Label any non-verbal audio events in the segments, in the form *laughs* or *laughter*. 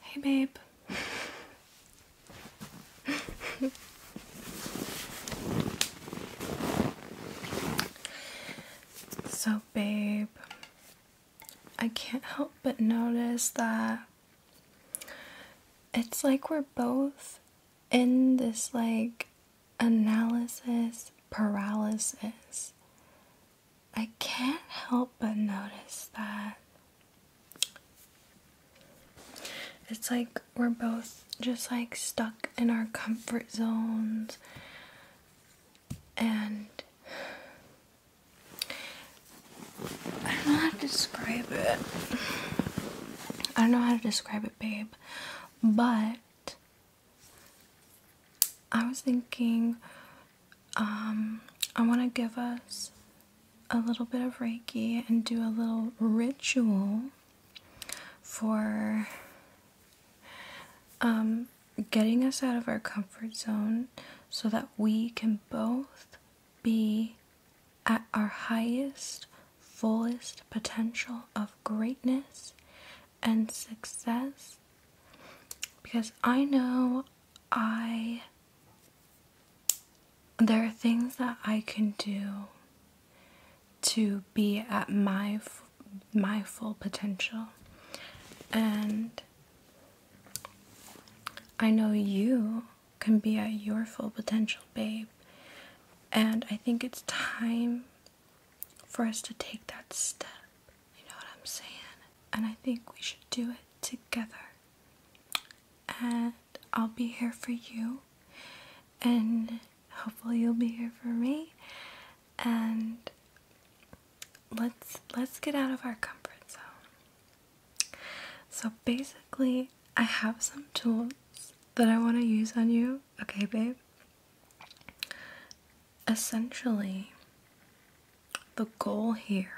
Hey, babe. so, babe, I can't help but notice that it's like we're both in this like analysis paralysis I can't help but notice that it's like we're both just like stuck in our comfort zones and I don't know how to describe it. I don't know how to describe it, babe, but I was thinking um, I want to give us a little bit of Reiki and do a little ritual for um, getting us out of our comfort zone so that we can both be at our highest, fullest potential of greatness and success because I know I there are things that I can do to be at my my full potential and I know you can be at your full potential babe and I think it's time for us to take that step you know what I'm saying? And I think we should do it together. And I'll be here for you, and hopefully you'll be here for me. And let's let's get out of our comfort zone. So basically, I have some tools that I want to use on you. Okay, babe. Essentially, the goal here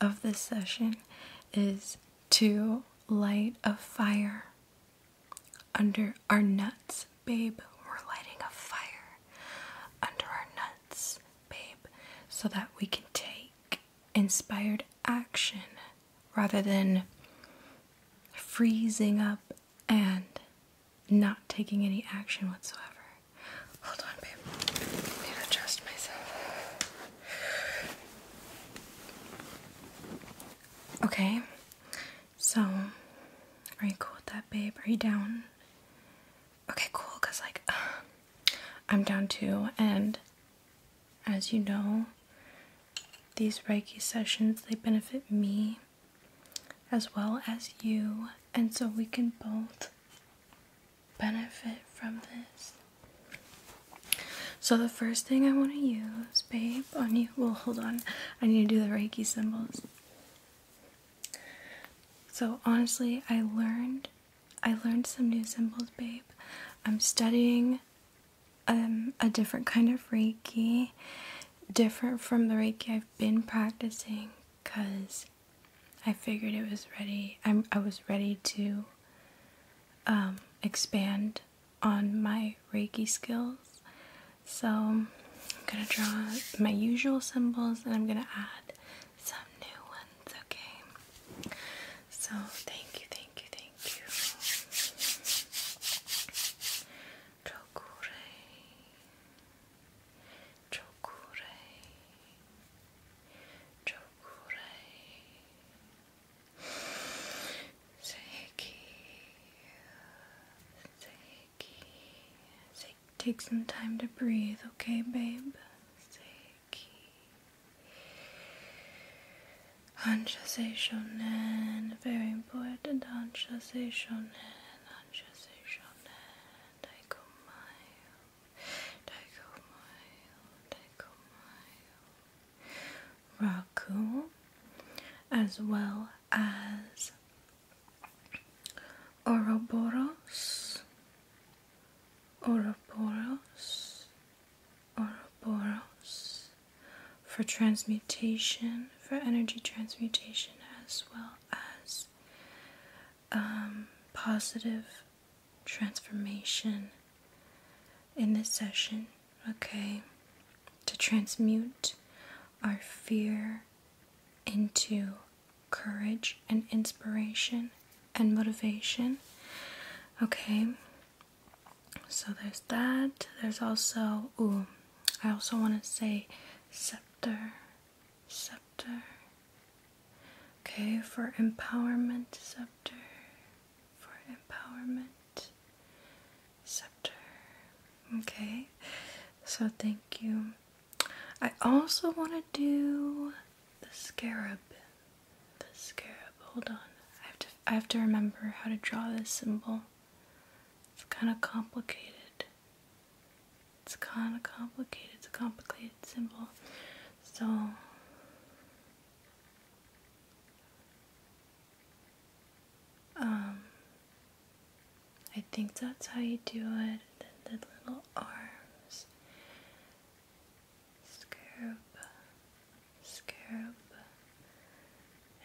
of this session is to light a fire under our nuts, babe. We're lighting a fire under our nuts, babe, so that we can take inspired action rather than freezing up and not taking any action whatsoever. Hold on, babe. need to adjust myself. Okay. So, are you cool with that, babe? Are you down? Okay, cool, because, like, *sighs* I'm down too, and as you know, these Reiki sessions, they benefit me as well as you, and so we can both benefit from this. So, the first thing I want to use, babe, on you. Well, hold on, I need to do the Reiki symbols. So, honestly, I learned. I learned some new symbols, babe. I'm studying um, a different kind of Reiki, different from the Reiki I've been practicing because I figured it was ready. I'm, I was ready to um, expand on my Reiki skills. So I'm gonna draw my usual symbols and I'm gonna add some new ones, okay? So thank you, thank you, thank you. Tokure. Chokurei, Chokurei, Seiki, Seiki, Take some time to breathe, okay, babe? Seiki. Anshasei very important. Anshasei Shonen, Raku, as well as Ouroboros, Ouroboros, Ouroboros for transmutation, for energy transmutation, as well as um, positive transformation in this session, okay? To transmute our fear into courage and inspiration and motivation, okay? So there's that. There's also, ooh, I also want to say scepter scepter. Okay, for empowerment, scepter. For empowerment, scepter. Okay, so thank you. I also want to do the scarab. The scarab. Hold on. I have to. I have to remember how to draw this symbol. It's kind of complicated. It's kind of complicated. It's a complicated symbol. So. Um, I think that's how you do it. The, little arms, scarab, scarab,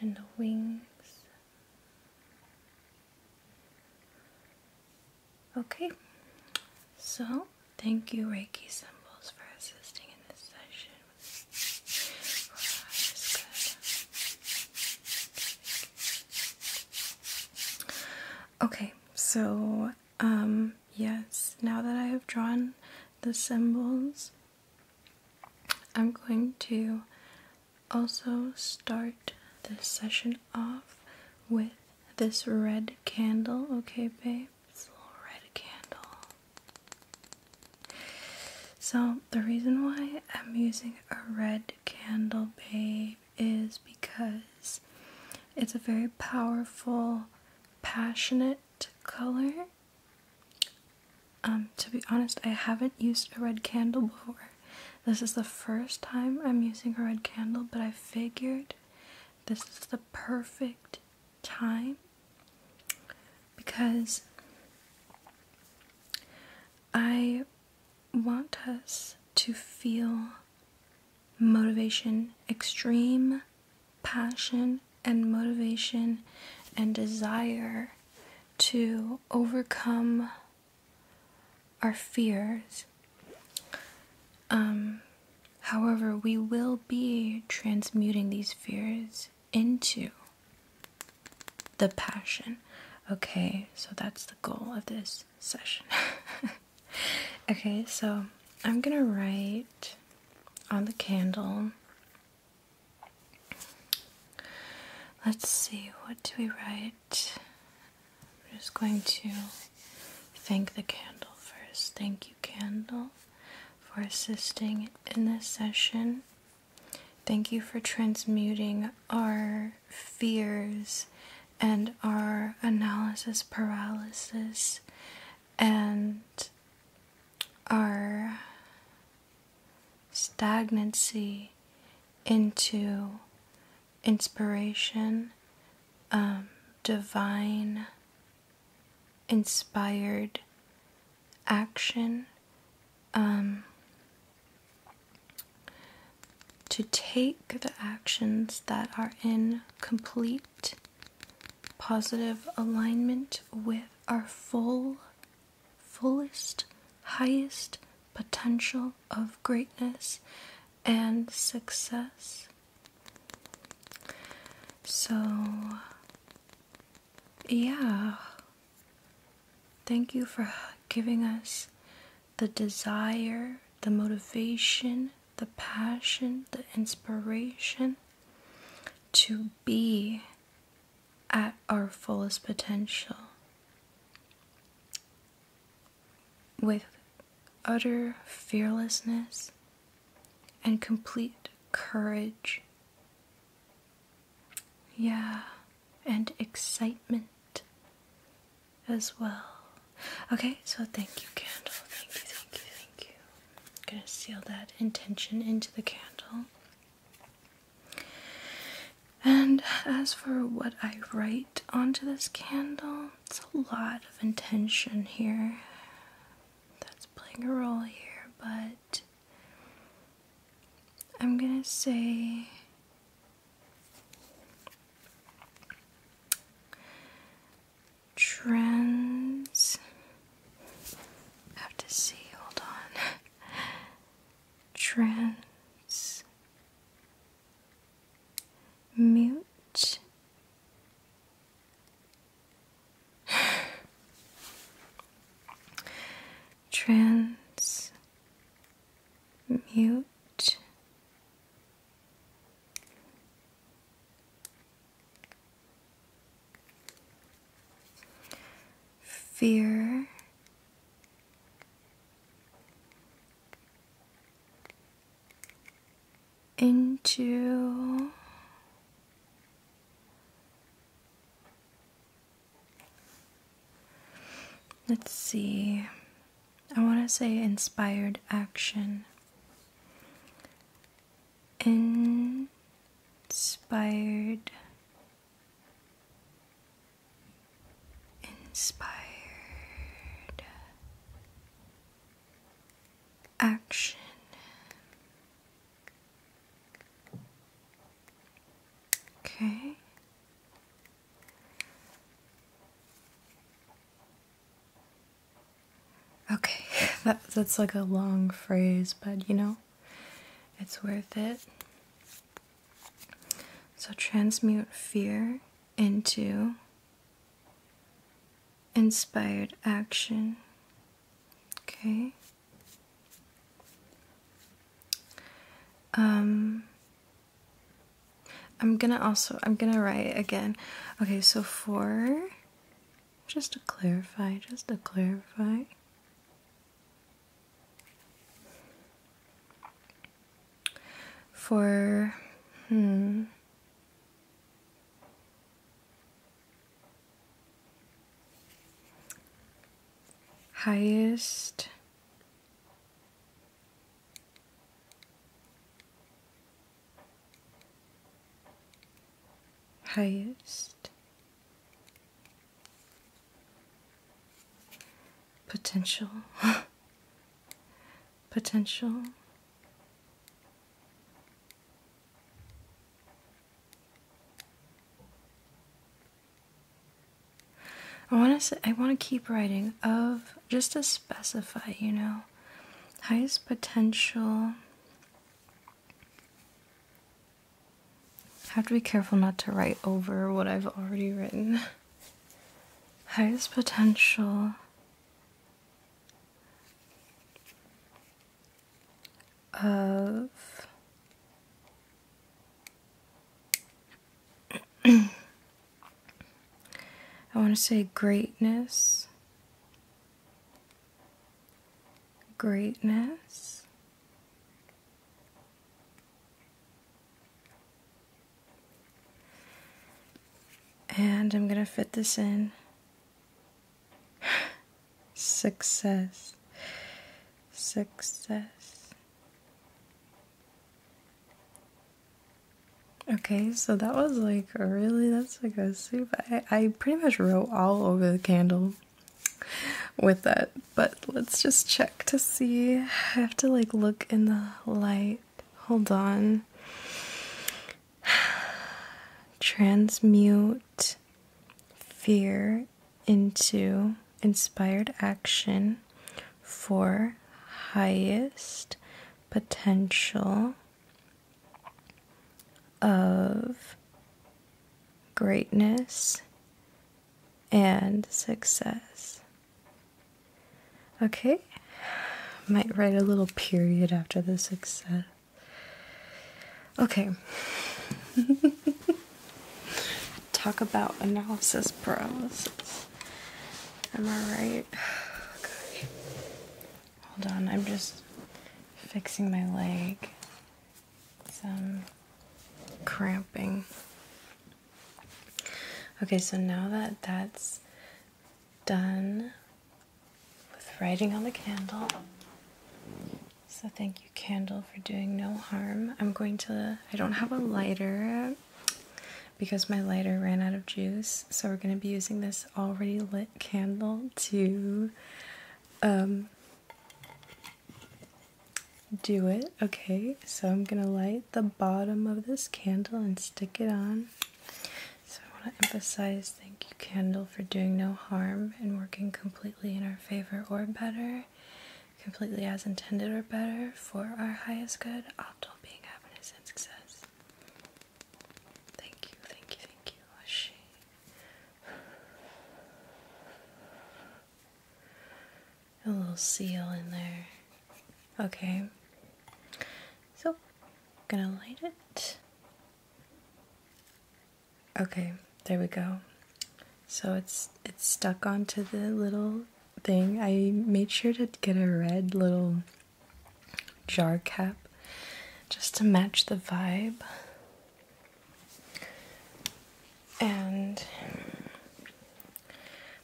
and the wings. Okay, so thank you, Reiki Symbols, for assisting in this session. Okay, so, um, yes, now that I have drawn the symbols, I'm going to also start this session off with this red candle, okay, babe? This little red candle. So, the reason why I'm using a red candle, babe, is because it's a very powerful, passionate color. Um, to be honest, I haven't used a red candle before this is the first time I'm using a red candle, but I figured this is the perfect time because I want us to feel motivation, extreme passion, and motivation and desire to overcome our fears. Um, however, we will be transmuting these fears into the passion. Okay, so that's the goal of this session. *laughs* okay, so I'm gonna write on the candle. Let's see, what do we write? We're just going to thank the candle first. Thank you, candle, for assisting in this session. Thank you for transmuting our fears and our analysis paralysis and our stagnancy into inspiration, um, divine, inspired action um, to take the actions that are in complete positive alignment with our full, fullest, highest potential of greatness and success. So, yeah, thank you for giving us the desire, the motivation, the passion, the inspiration to be at our fullest potential with utter fearlessness and complete courage. Yeah, and excitement as well. Okay, so thank you, candle. Thank you, thank you, thank you. I'm gonna seal that intention into the candle. And as for what I write onto this candle, it's a lot of intention here that's playing a role here, but I'm gonna say trends. have to see, hold on. *laughs* Trends mute. Trans fear into let's see i want to say inspired action inspired inspired action. Okay. Okay, *laughs* that's like a long phrase, but you know, it's worth it. So transmute fear into inspired action. Okay. Um, I'm gonna also, I'm gonna write again. Okay, so for, just to clarify, just to clarify for hmm. highest highest potential *laughs* potential. I want to say. I want to keep writing of just to specify, you know, highest potential. I have to be careful not to write over what I've already written. *laughs* Highest potential of *clears throat* I want to say greatness, greatness, and I'm going to fit this in. *sighs* Success. Success. Okay, so that was like really, that's like a soup. I, I pretty much wrote all over the candle with that, but let's just check to see. I have to like look in the light hold on. Transmute fear into inspired action for highest potential of greatness and success. Okay, might write a little period after the success. Okay. *laughs* Talk about analysis paralysis. Am I right? *sighs* Okay. Hold on, I'm just fixing my leg. Some cramping. Okay, so now that that's done with writing on the candle. So thank you, candle, for doing no harm. I'm going to, I don't have a lighter because my lighter ran out of juice. So we're going to be using this already lit candle to um, do it. Okay, so I'm going to light the bottom of this candle and stick it on. So I want to emphasize thank you, candle, for doing no harm and working completely in our favor or better, completely as intended or better, for our highest good, optimal being, happiness, and success. Thank you, thank you, thank you, Ashi. A little seal in there. Okay. So, gonna light it. Okay, there we go. So it's it's stuck onto the little thing. I made sure to get a red little jar cap just to match the vibe. And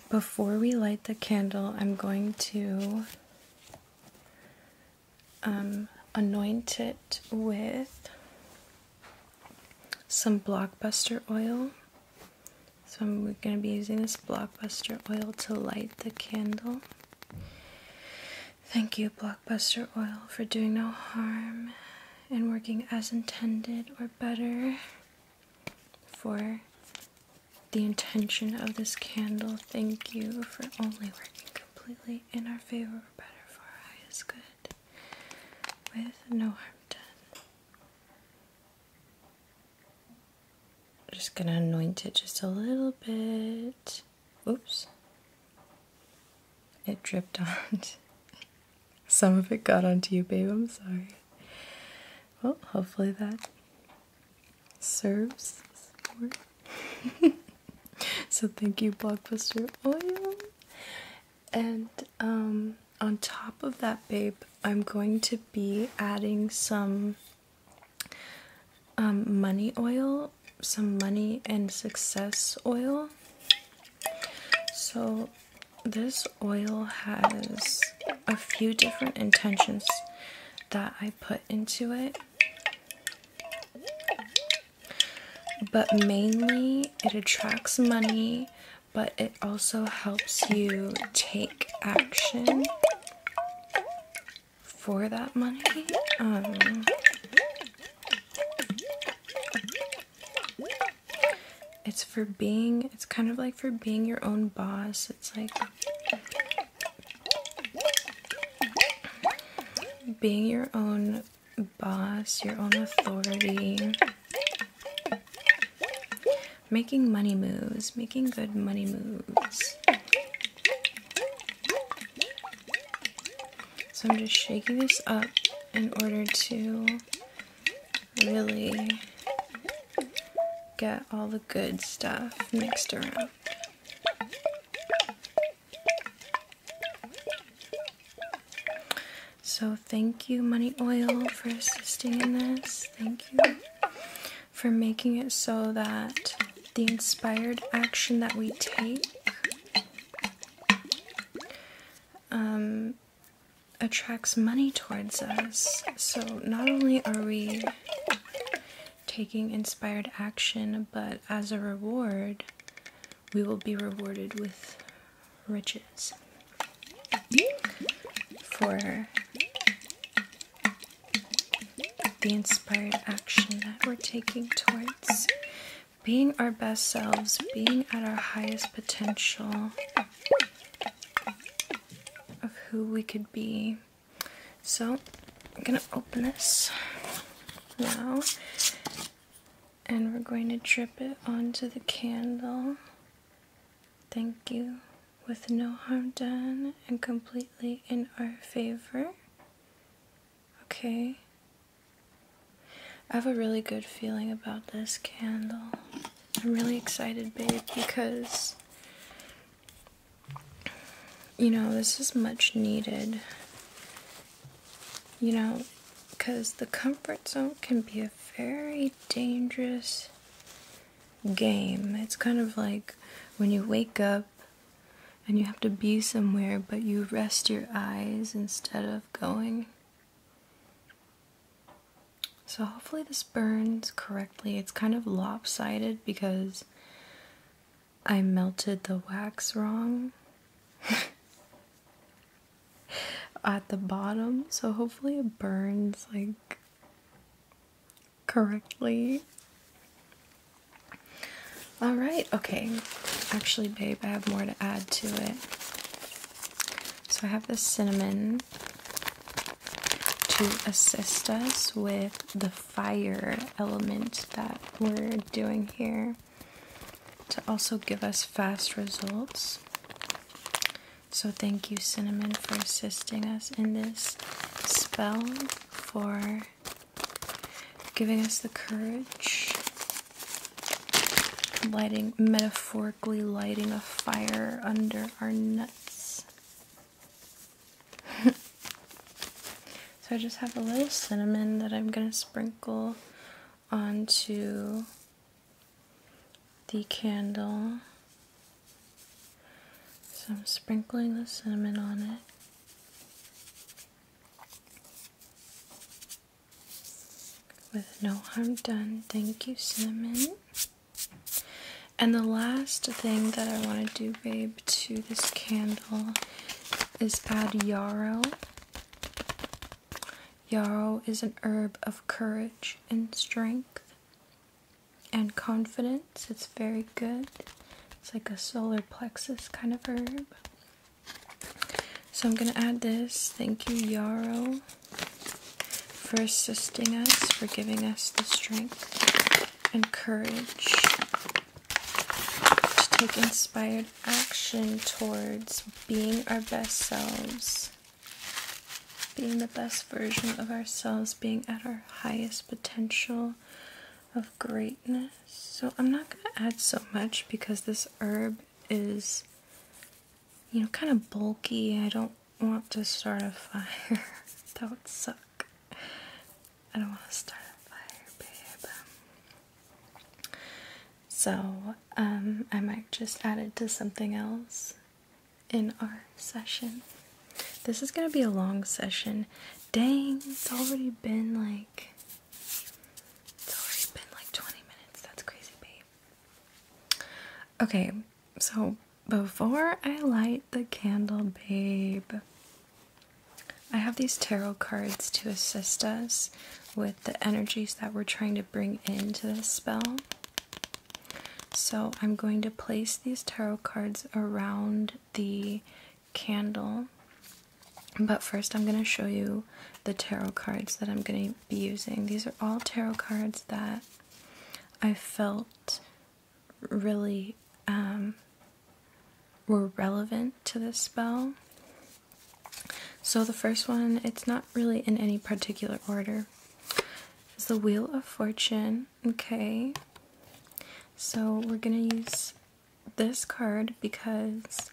before we light the candle, I'm going to um, anoint it with some blockbuster oil. So I'm going to be using this blockbuster oil to light the candle. Thank you, blockbuster oil, for doing no harm and working as intended or better for the intention of this candle. Thank you for only working completely in our favor, better for our highest good, with no harm done. I'm just gonna anoint it just a little bit. Oops. It dripped on. *laughs* Some of it got onto you, babe. I'm sorry. Well, hopefully that serves *laughs* so thank you, Blockbuster Oil. And um, on top of that, babe, I'm going to be adding some um, money oil, some money and success oil. So this oil has a few different intentions that I put into it. But mainly, it attracts money, but it also helps you take action for that money. Um, it's for being, it's kind of like for being your own boss. It's like being your own boss, your own authority, making money moves, making good money moves. So I'm just shaking this up in order to really get all the good stuff mixed around. So, thank you, Money Oil, for assisting in this. Thank you for making it so that the inspired action that we take um, attracts money towards us. So, not only are we taking inspired action, but as a reward, we will be rewarded with riches for the inspired action that we're taking towards being our best selves, being at our highest potential of who we could be so I'm gonna open this now and we're going to drip it onto the candle. Thank you, with no harm done and completely in our favor. Okay. I have a really good feeling about this candle. I'm really excited, babe, because you know, this is much needed. You know, because the comfort zone can be a very dangerous game. It's kind of like when you wake up and you have to be somewhere, but you rest your eyes instead of going. So hopefully this burns correctly. It's kind of lopsided because I melted the wax wrong *laughs* at the bottom, so hopefully it burns like correctly. All right, okay. Actually, babe, I have more to add to it. So I have the cinnamon to assist us with the fire element that we're doing here to also give us fast results. So thank you, Cinnamon, for assisting us in this spell, for giving us the courage, lighting, metaphorically lighting a fire under our nuts. *laughs* so I just have a little cinnamon that I'm going to sprinkle onto the candle. So I'm sprinkling the cinnamon on it. With no harm done. Thank you, cinnamon. And the last thing that I want to do, babe, to this candle is add yarrow. Yarrow is an herb of courage and strength and confidence. It's very good. It's like a solar plexus kind of herb. So I'm going to add this. Thank you, yarrow, for assisting us, for giving us the strength encourage to take inspired action towards being our best selves, being the best version of ourselves, being at our highest potential of greatness. So I'm not going to add so much because this herb is, you know, kind of bulky. I don't want to start a *laughs* fire. that would suck. I don't want to start a fire, babe. So, um, I might just add it to something else in our session. This is gonna be a long session. Dang, it's already been like it's already been like 20 minutes. That's crazy, babe. Okay, so before I light the candle, babe, I have these tarot cards to assist us with the energies that we're trying to bring into this spell. So I'm going to place these tarot cards around the candle. But first I'm going to show you the tarot cards that I'm going to be using. These are all tarot cards that I felt really um, were relevant to this spell. So the first one, it's not really in any particular order, is the Wheel of Fortune. Okay, so we're going to use this card because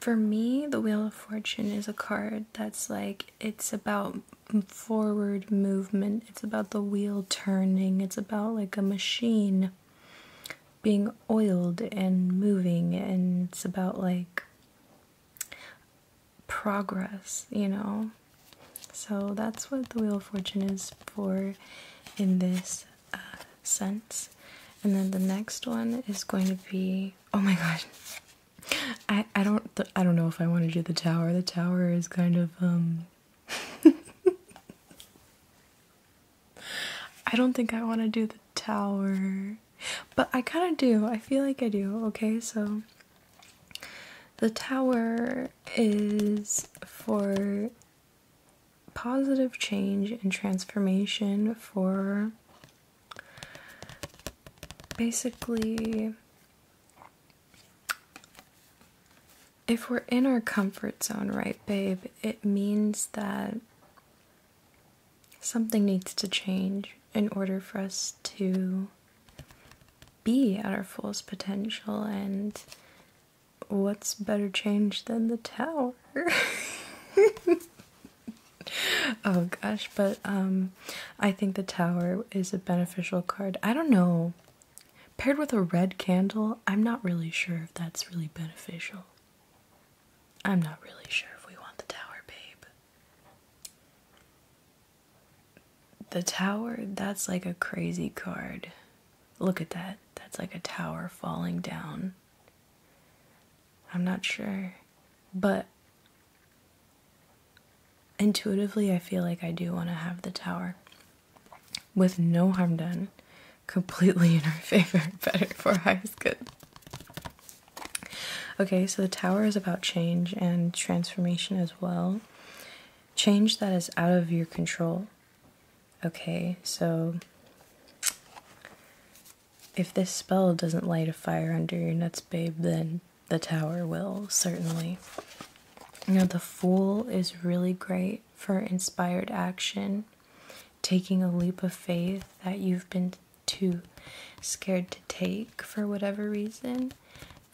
for me, the Wheel of Fortune is a card that's like, it's about forward movement it's about the wheel turning, it's about like a machine being oiled and moving, and it's about like progress, you know. So that's what the Wheel of Fortune is for in this uh, sense. And then the next one is going to be oh my gosh. I I don't I don't know if I want to do the tower. The tower is kind of um *laughs* I don't think I want to do the tower, but I kind of do. I feel like I do. Okay, so the tower is for positive change and transformation for basically if we're in our comfort zone, right, babe, it means that something needs to change in order for us to be at our fullest potential. And what's better change than the tower? *laughs* oh gosh, but um, I think the tower is a beneficial card. I don't know Paired with a red candle, I'm not really sure if that's really beneficial. I'm not really sure if we want the tower, babe. The tower, that's like a crazy card. Look at that. That's like a tower falling down. I'm not sure. But intuitively, I feel like I do want to have the tower with no harm done, completely in our *laughs* favor, better for us. good. Okay, so the tower is about change and transformation as well. Change that is out of your control. Okay, so if this spell doesn't light a fire under your nuts, babe, then the tower will, certainly. You know, the fool is really great for inspired action, taking a leap of faith that you've been too scared to take for whatever reason,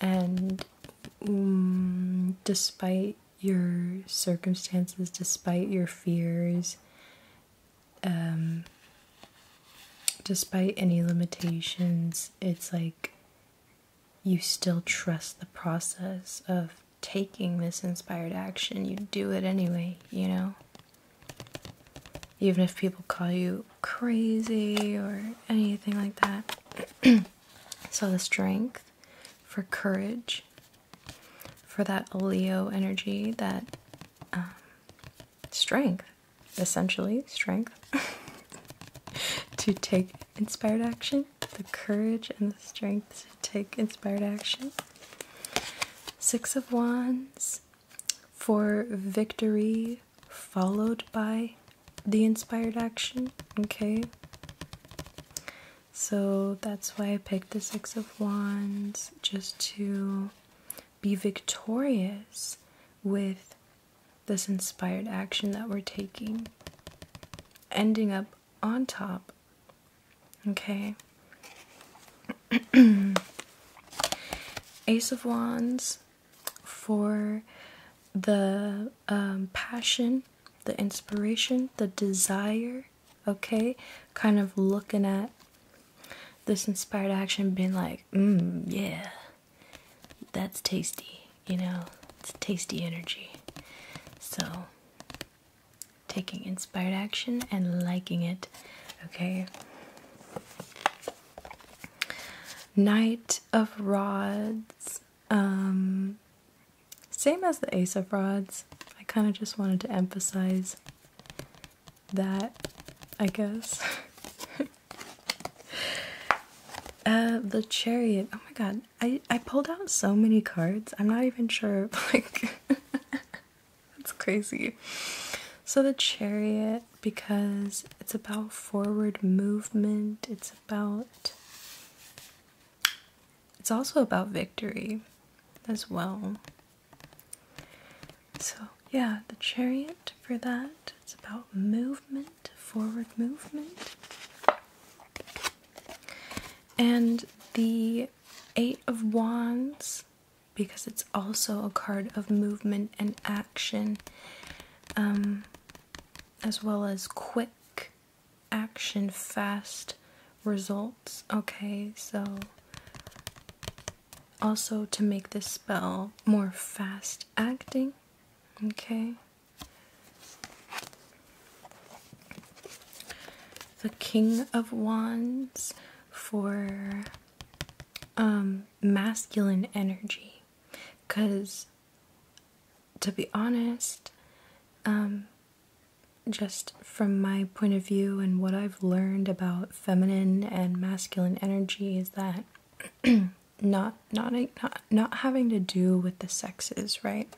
and mm, despite your circumstances, despite your fears, um, despite any limitations, it's like you still trust the process of taking this inspired action. You do it anyway, you know? Even if people call you crazy or anything like that. *clears throat* so, the strength for courage, for that Leo energy, that um, strength, essentially, strength *laughs* to take inspired action, the courage and the strength to take inspired action. Six of Wands for victory, followed by the inspired action. Okay, so that's why I picked the Six of Wands just to be victorious with this inspired action that we're taking, ending up on top. Okay. *clears throat* Ace of Wands for the um, passion, the inspiration, the desire. Okay. Kind of looking at this inspired action, being like, mm, yeah, that's tasty you know, it's tasty energy. So, taking inspired action and liking it, okay? Knight of Rods. Um, same as the Ace of Rods. I kind of just wanted to emphasize that, I guess. *laughs* Uh, the Chariot. Oh my god, I I pulled out so many cards. I'm not even sure. *laughs* Like, that's crazy. So the chariot, because it's about forward movement. It's about. It's also about victory, as well. So yeah, the chariot for that. It's about movement, forward movement and the Eight of Wands because it's also a card of movement and action, um, as well as quick action, fast results. Okay, so also to make this spell more fast acting. Okay, the King of Wands for um, masculine energy. Because, to be honest, um, just from my point of view and what I've learned about feminine and masculine energy is that *clears throat* not not not not having to do with the sexes, right?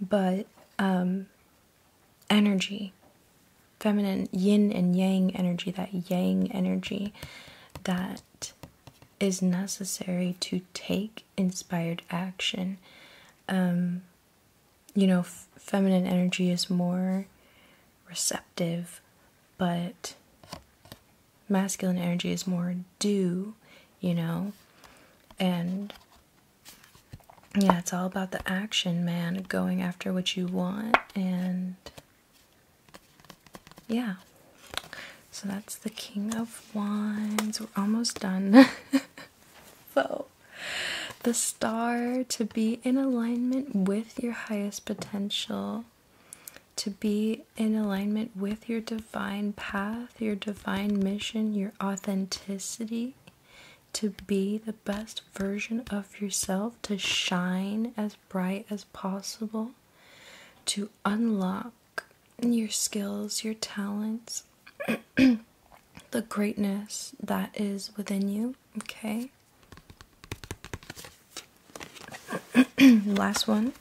But um, energy, feminine yin and yang energy, that yang energy that is necessary to take inspired action. Um, you know, feminine energy is more receptive, but masculine energy is more do, you know, and yeah, it's all about the action, man, going after what you want, and yeah. So that's the King of Wands. We're almost done. *laughs* so, the star to be in alignment with your highest potential, to be in alignment with your divine path, your divine mission, your authenticity to be the best version of yourself, to shine as bright as possible, to unlock your skills, your talents, *clears throat* the greatness that is within you. Okay. *clears throat* Last one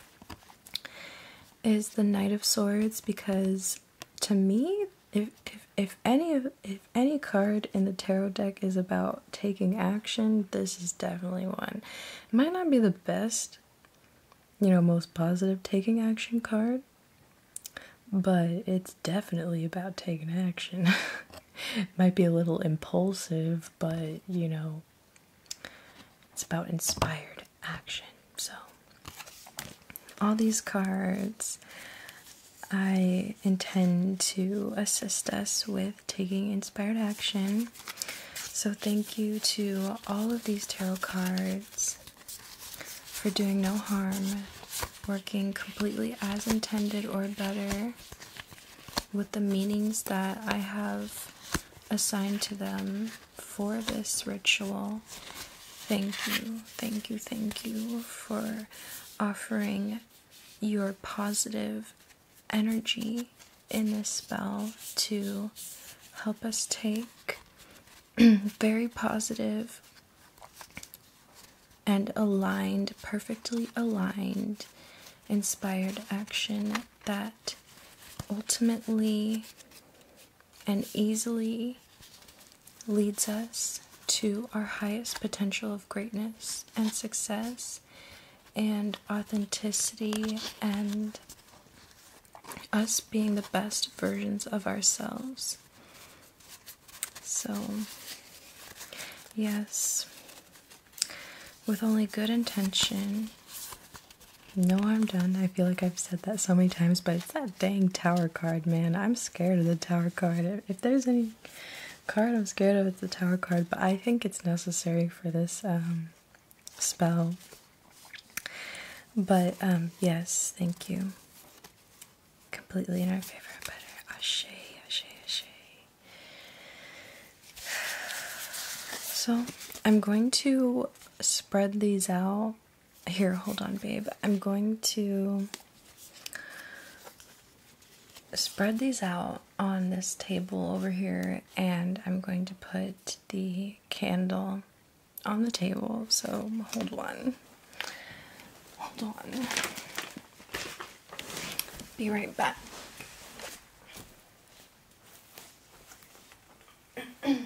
is the Knight of Swords because to me, if if if any of if any card in the tarot deck is about taking action, this is definitely one. It might not be the best, you know, most positive taking action card, but it's definitely about taking action. *laughs* might be a little impulsive, but you know, it's about inspired action. So, all these cards I intend to assist us with taking inspired action. So, thank you to all of these tarot cards for doing no harm, working completely as intended or better with the meanings that I have assigned to them for this ritual. Thank you, thank you, thank you for offering your positive energy in this spell to help us take *clears throat* very positive and aligned, perfectly aligned, inspired action that ultimately and easily leads us to our highest potential of greatness and success and authenticity and us being the best versions of ourselves. So, yes, with only good intention. No, I'm done. I feel like I've said that so many times, but it's that dang tower card, man. I'm scared of the tower card. If there's any card I'm scared of, it's the tower card, but I think it's necessary for this um, spell. But um, yes, thank you. Completely in our favor, So I'm going to spread these out here, hold on, babe. I'm going to spread these out on this table over here, and I'm going to put the candle on the table. So hold one. Hold on. Be right back. *clears throat*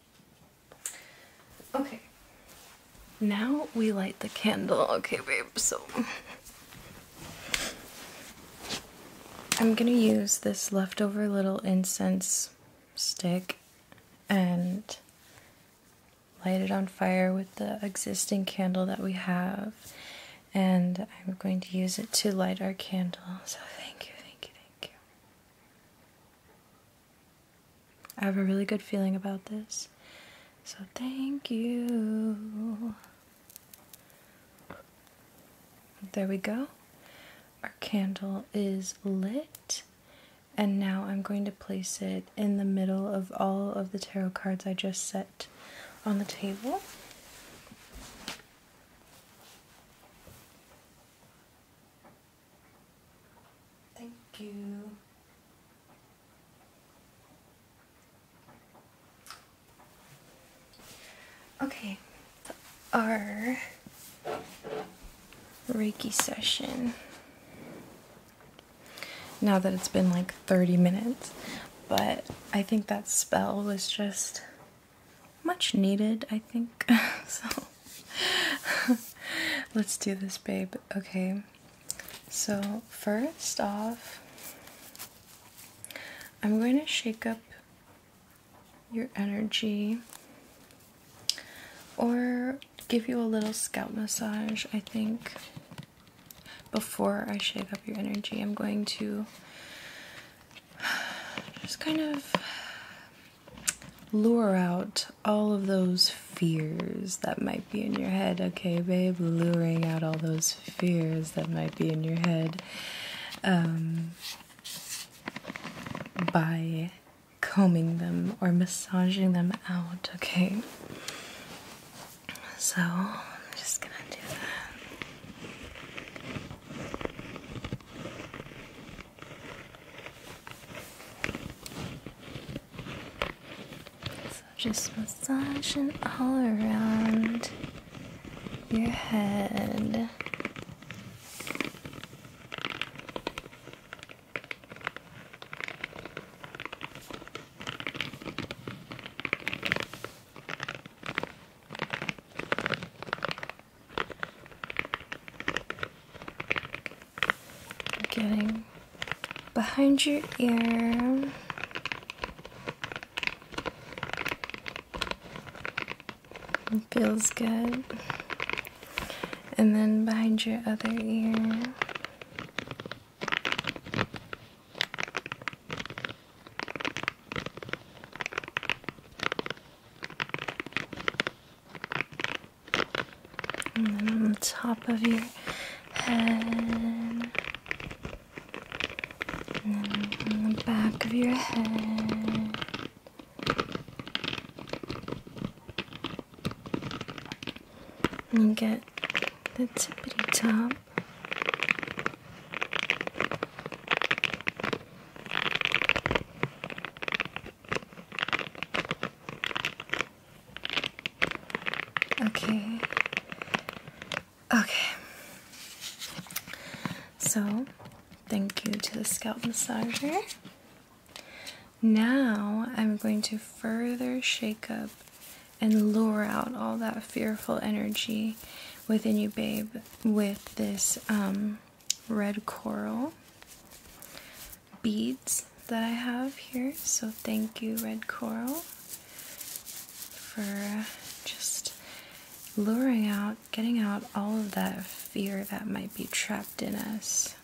Okay. Now we light the candle. Okay, babe, so I'm gonna use this leftover little incense stick and light it on fire with the existing candle that we have. And I'm going to use it to light our candle. So thank you, thank you, thank you. I have a really good feeling about this. So thank you. There we go. Our candle is lit. And now I'm going to place it in the middle of all of the tarot cards I just set on the table. Thank you. Okay, our Reiki session. Now that it's been like 30 minutes, but I think that spell was just much needed, I think. *laughs* so *laughs* let's do this, babe. Okay, so first off, I'm going to shake up your energy or give you a little scalp massage. I think before I shake up your energy, I'm going to *sighs* just kind of lure out all of those fears that might be in your head. Okay, babe, luring out all those fears that might be in your head um, by combing them or massaging them out. Okay, so I'm just gonna do that just massaging all around your head. Getting behind your ear. feels good. And then behind your other ear and then on the top of your head, and then on the back of your head. And get the tippity top. Okay. Okay. So, thank you to the scalp massager. Now, I'm going to further shake up and lure out all that fearful energy within you, babe, with this um, red coral beads that I have here. So thank you, Red Coral, for uh, just luring out, getting out all of that fear that might be trapped in us,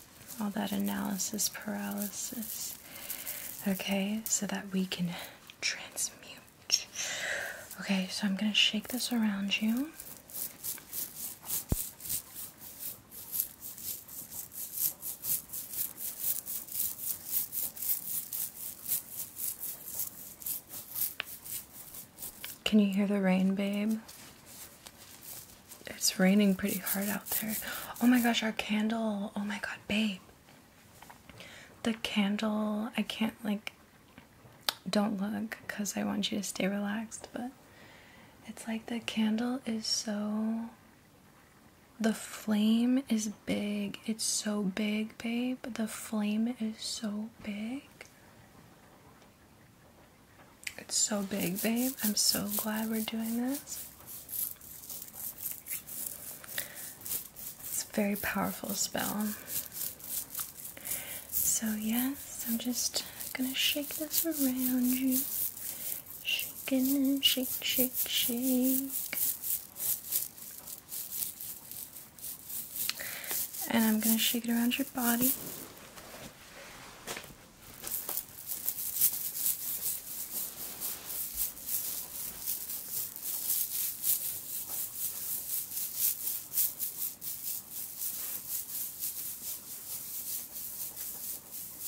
all that analysis paralysis. Okay, so that we can transmute. Okay, so I'm going to shake this around you. Can you hear the rain, babe? It's raining pretty hard out there. Oh my gosh, our candle. Oh my god, babe. The candle, I can't like don't look cuz I want you to stay relaxed, but it's like the candle is so the flame is big. It's so big, babe. The flame is so big. It's so big, babe. I'm so glad we're doing this. It's a very powerful spell. So, yes, I'm just gonna shake this around you. Shake and shake, shake, shake. And I'm going to shake it around your body.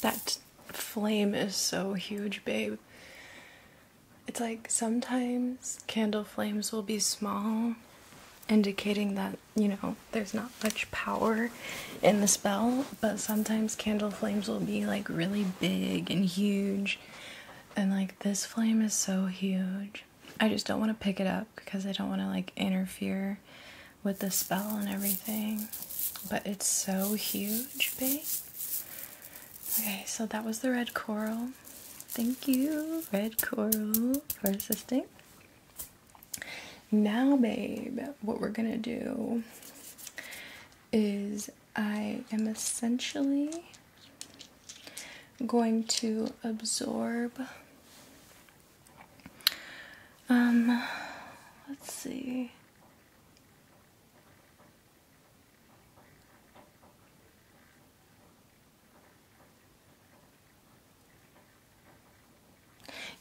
That flame is so huge, babe. It's like sometimes candle flames will be small, indicating that, you know, there's not much power in the spell, but sometimes candle flames will be like really big and huge. And like this flame is so huge. I just don't want to pick it up because I don't want to like interfere with the spell and everything. But it's so huge, babe. Okay, so that was the red coral. Thank you, red coral, for assisting. Now, babe, what we're gonna do is I am essentially going to absorb. Um, let's see.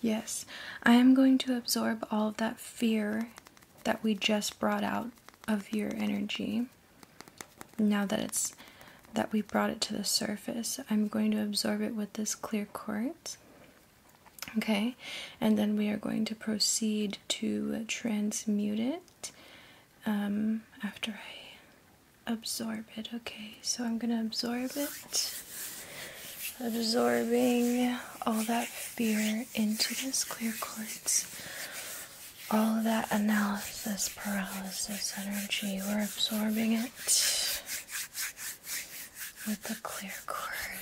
Yes, I am going to absorb all of that fear that we just brought out of your energy. Now that it's that we brought it to the surface, I'm going to absorb it with this clear quartz. Okay, and then we are going to proceed to transmute it um, after I absorb it. Okay, so I'm gonna absorb it, absorbing all that fear into this clear quartz. All that analysis paralysis energy, we're absorbing it with the clear quartz.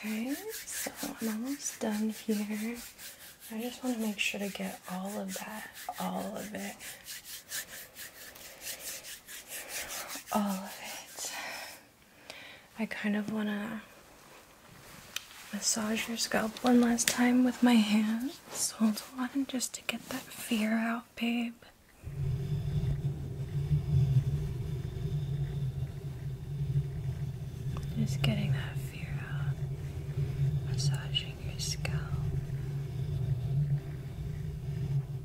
Okay, so I'm almost done here. I just want to make sure to get all of that, all of it, all of it. I kind of want to massage your scalp one last time with my hands. Hold on, just to get that fear out, babe. Just getting that fear out, massaging your scalp.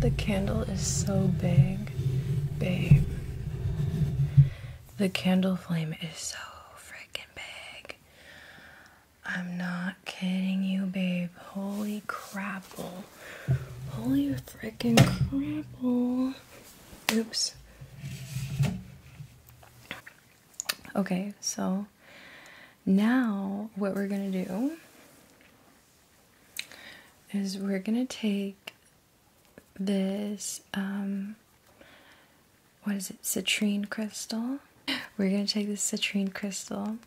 The candle is so big, babe. The candle flame is so freaking big. I'm not kidding you, babe. Holy crapple. Holy freaking crapple. Oops. Okay, so now, what we're going to do is we're going to take this, um, what is it, citrine crystal. We're going to take this citrine crystal.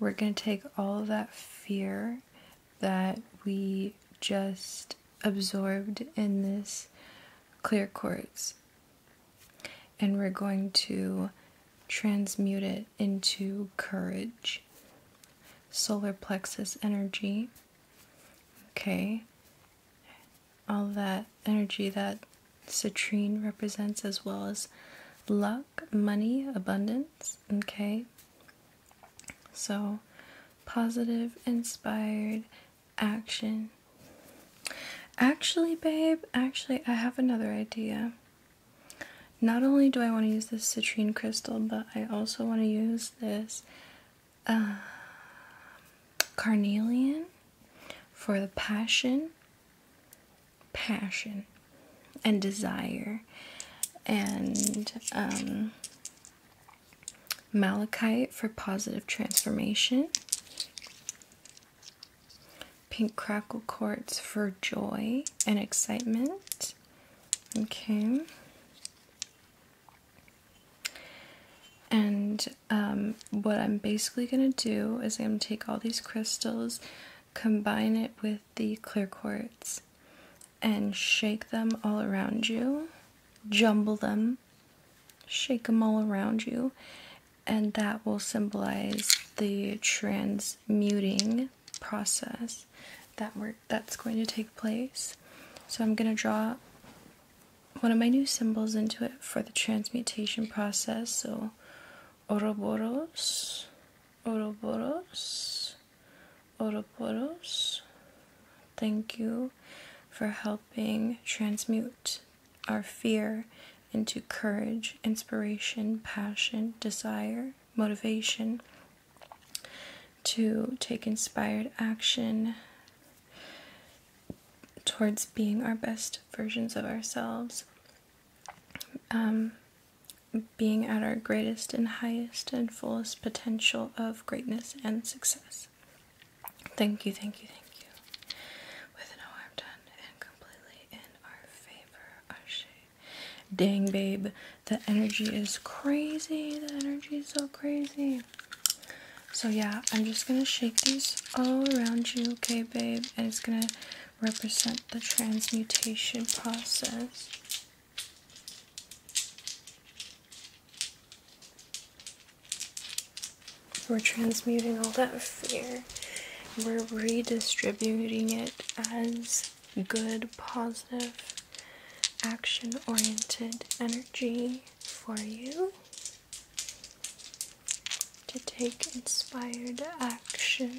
We're going to take all of that fear that we just absorbed in this clear quartz and we're going to transmute it into courage. Solar plexus energy. Okay. All that energy that citrine represents, as well as luck, money, abundance. Okay. So, positive, inspired action Actually, babe, actually, I have another idea. Not only do I want to use this citrine crystal, but I also want to use this uh, carnelian for the passion, passion, and desire, and um, malachite for positive transformation. Pink crackle quartz for joy and excitement. Okay. And um, what I'm basically going to do is I'm going to take all these crystals, combine it with the clear quartz, and shake them all around you, jumble them, shake them all around you, and that will symbolize the transmuting process that we that's going to take place. So I'm going to draw one of my new symbols into it for the transmutation process. So oroboros, oroboros, oroboros. Thank you for helping transmute our fear into courage, inspiration, passion, desire, motivation, to take inspired action towards being our best versions of ourselves, um, being at our greatest and highest and fullest potential of greatness and success. Thank you, thank you, thank you. With an O, done and completely Dang, babe. The energy is crazy. The energy is so crazy. So, yeah, I'm just gonna shake these all around you, okay, babe? And it's gonna represent the transmutation process. We're transmuting all that fear. We're redistributing it as good, positive, action oriented energy for you to take inspired action.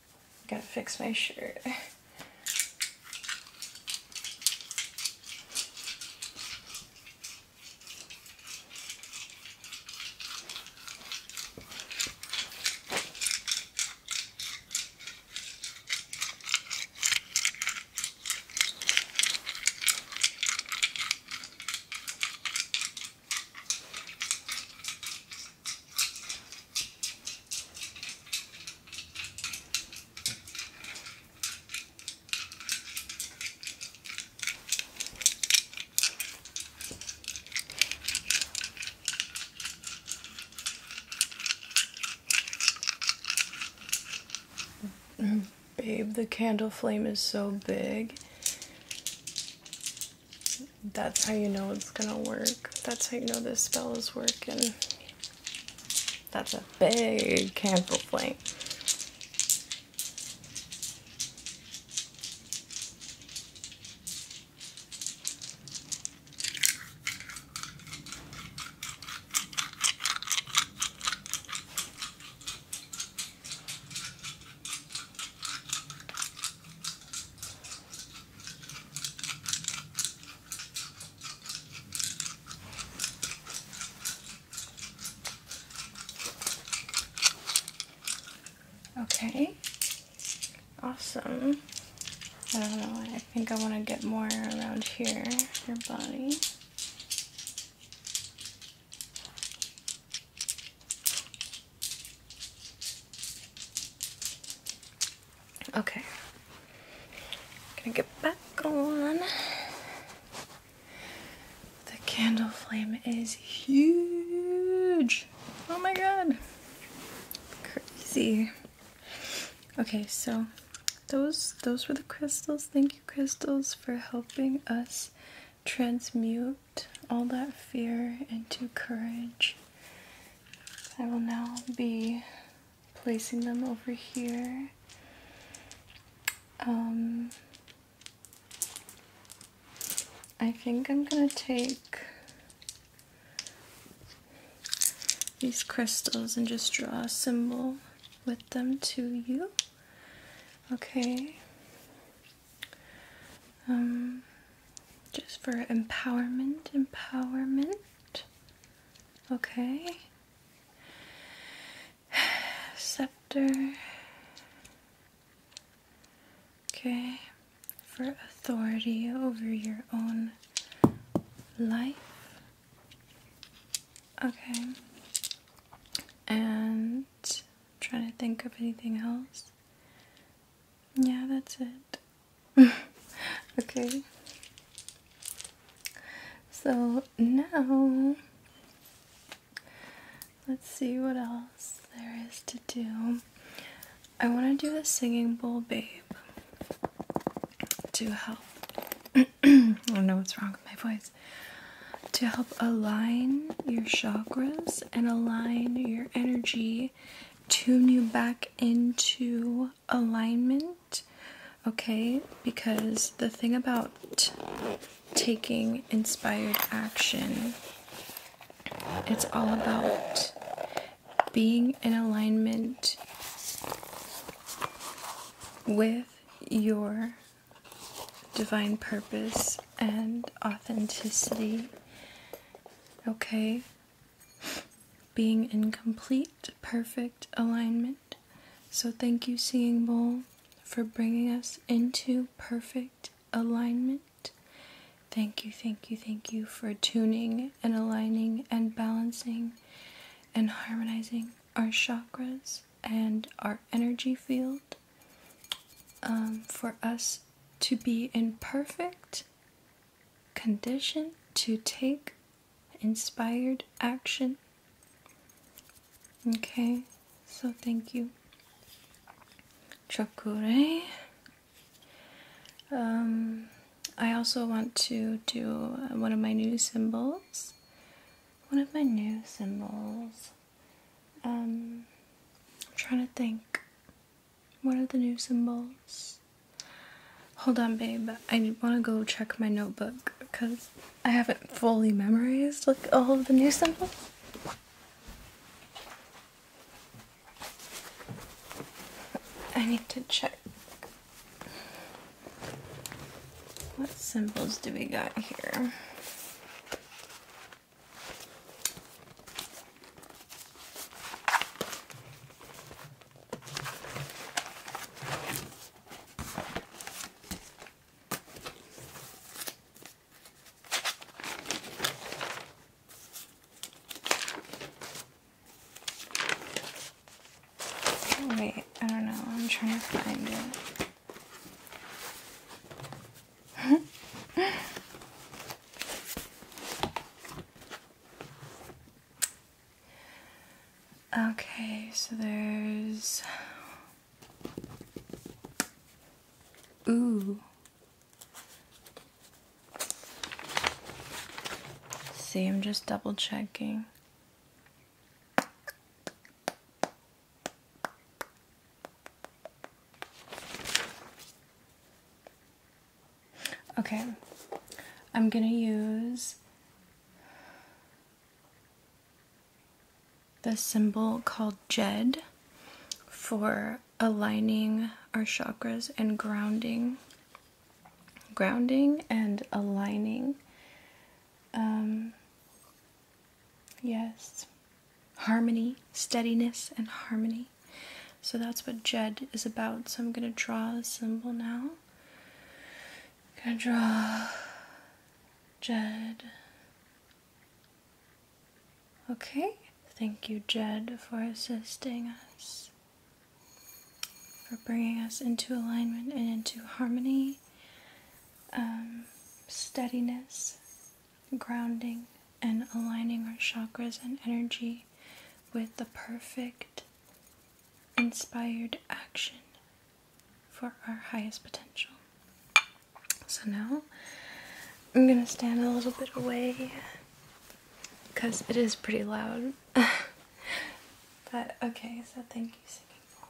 Gotta fix my shirt. Babe, the candle flame is so big that's how you know it's gonna work. That's how you know this spell is working. That's a big candle flame. Okay, awesome. I don't know, I think I want to get more around here, your body. Okay. Gonna get back on. The candle flame is huge. Oh my god. Crazy. Okay, so those those were the crystals. Thank you crystals for helping us transmute all that fear into courage I will now be placing them over here. Um, I think I'm going to take these crystals and just draw a symbol with them to you. Okay. Um, just for empowerment, empowerment. Okay. Scepter. Okay. For authority over your own life. Okay. And i trying to think of anything else. Yeah, that's it. *laughs* okay. So now let's see what else there is to do. I want to do a singing bowl babe to help. *clears throat* I don't know what's wrong with my voice. To help align your chakras and align your energy, tune you back into alignment. Okay, because the thing about taking inspired action, it's all about being in alignment with your divine purpose and authenticity. Okay, being in complete, perfect alignment. So, thank you, Seeing Bowl, for bringing us into perfect alignment. Thank you, thank you, thank you for tuning and aligning and balancing and harmonizing our chakras and our energy field um, for us to be in perfect condition to take inspired action. Okay, so thank you. Chokure. Um, I also want to do one of my new symbols. One of my new symbols. Um, I'm trying to think. What are the new symbols? Hold on, babe. I want to go check my notebook because I haven't fully memorized like all of the new symbols. I need to check. What symbols do we got here? Oh, wait, I don't know. I'm trying to find it. Okay, so there's. Ooh. See, I'm just double checking. Okay, I'm gonna use the symbol called Jed for aligning our chakras and grounding, grounding and aligning. Um, yes, harmony, steadiness, and harmony. So that's what Jed is about. So I'm going to draw a symbol now. I'm going to draw Jed. Okay, thank you, Jed, for assisting us, for bringing us into alignment and into harmony, um, steadiness, grounding, and aligning our chakras and energy with the perfect inspired action for our highest potential. So now I'm gonna stand a little bit away because it is pretty loud. *laughs* but okay, so thank you, Singing Bowl.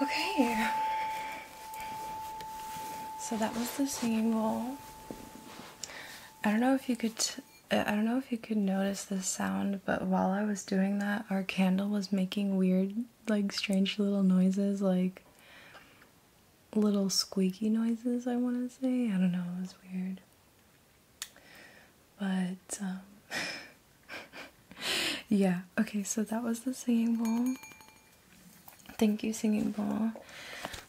Okay, so that was the singing bowl. I don't know if you could I don't know if you could notice this sound, but while I was doing that, our candle was making weird, like, strange little noises, like little squeaky noises, I want to say. I don't know, it was weird. But, um, *laughs* yeah, okay, so that was the singing bowl. Thank you, singing bowl.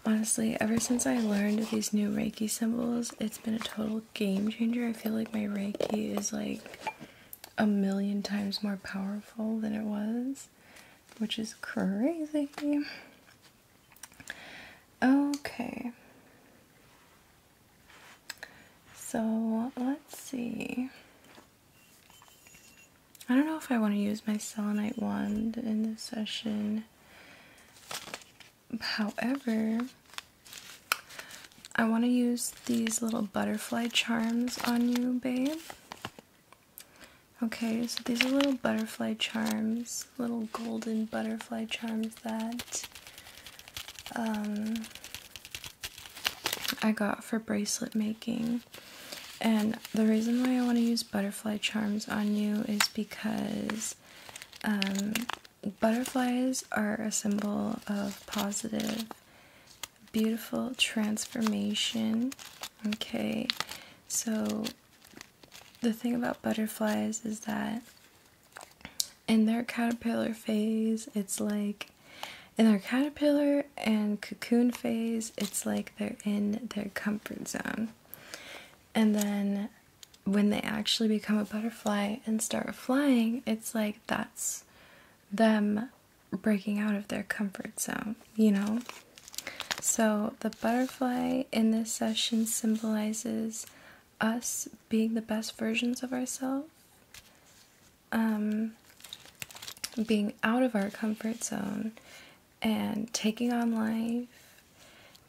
Honestly, ever since I learned these new Reiki symbols, it's been a total game changer. I feel like my Reiki is like a million times more powerful than it was, which is crazy. Okay. So let's see. I don't know if I want to use my selenite wand in this session. However, I want to use these little butterfly charms on you, babe. Okay, so these are little butterfly charms, little golden butterfly charms that um, I got for bracelet making. And the reason why I want to use butterfly charms on you is because um, Butterflies are a symbol of positive, beautiful transformation. Okay, so the thing about butterflies is that in their caterpillar phase, it's like in their caterpillar and cocoon phase, it's like they're in their comfort zone. And then when they actually become a butterfly and start flying, it's like that's them breaking out of their comfort zone, you know? So the butterfly in this session symbolizes us being the best versions of ourselves, um, being out of our comfort zone, and taking on life,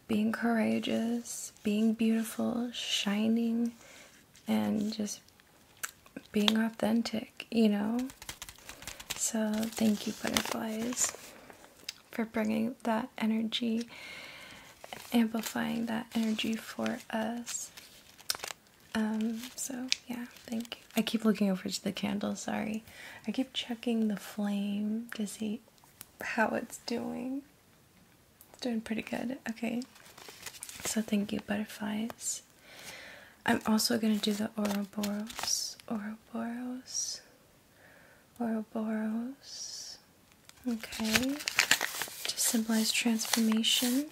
being courageous, being beautiful, shining, and just being authentic, you know? So, thank you, butterflies, for bringing that energy, amplifying that energy for us. Um, so yeah, thank you. I keep looking over to the candle, sorry. I keep checking the flame to see how it's doing. It's doing pretty good. Okay. So thank you, butterflies. I'm also going to do the oroboros, oroboros, oroboros. Okay. To symbolize transformation,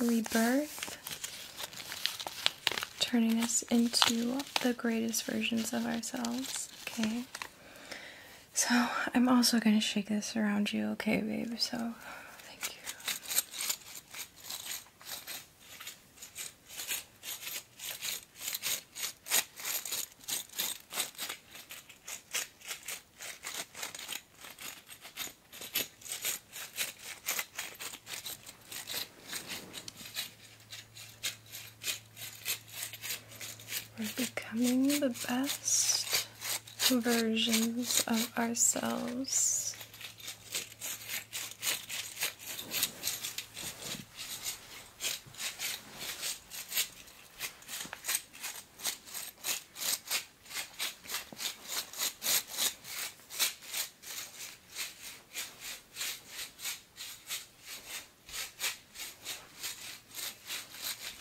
rebirth, turning us into the greatest versions of ourselves. Okay. So I'm also going to shake this around you, okay, babe? So thank you. We're becoming the best versions of ourselves.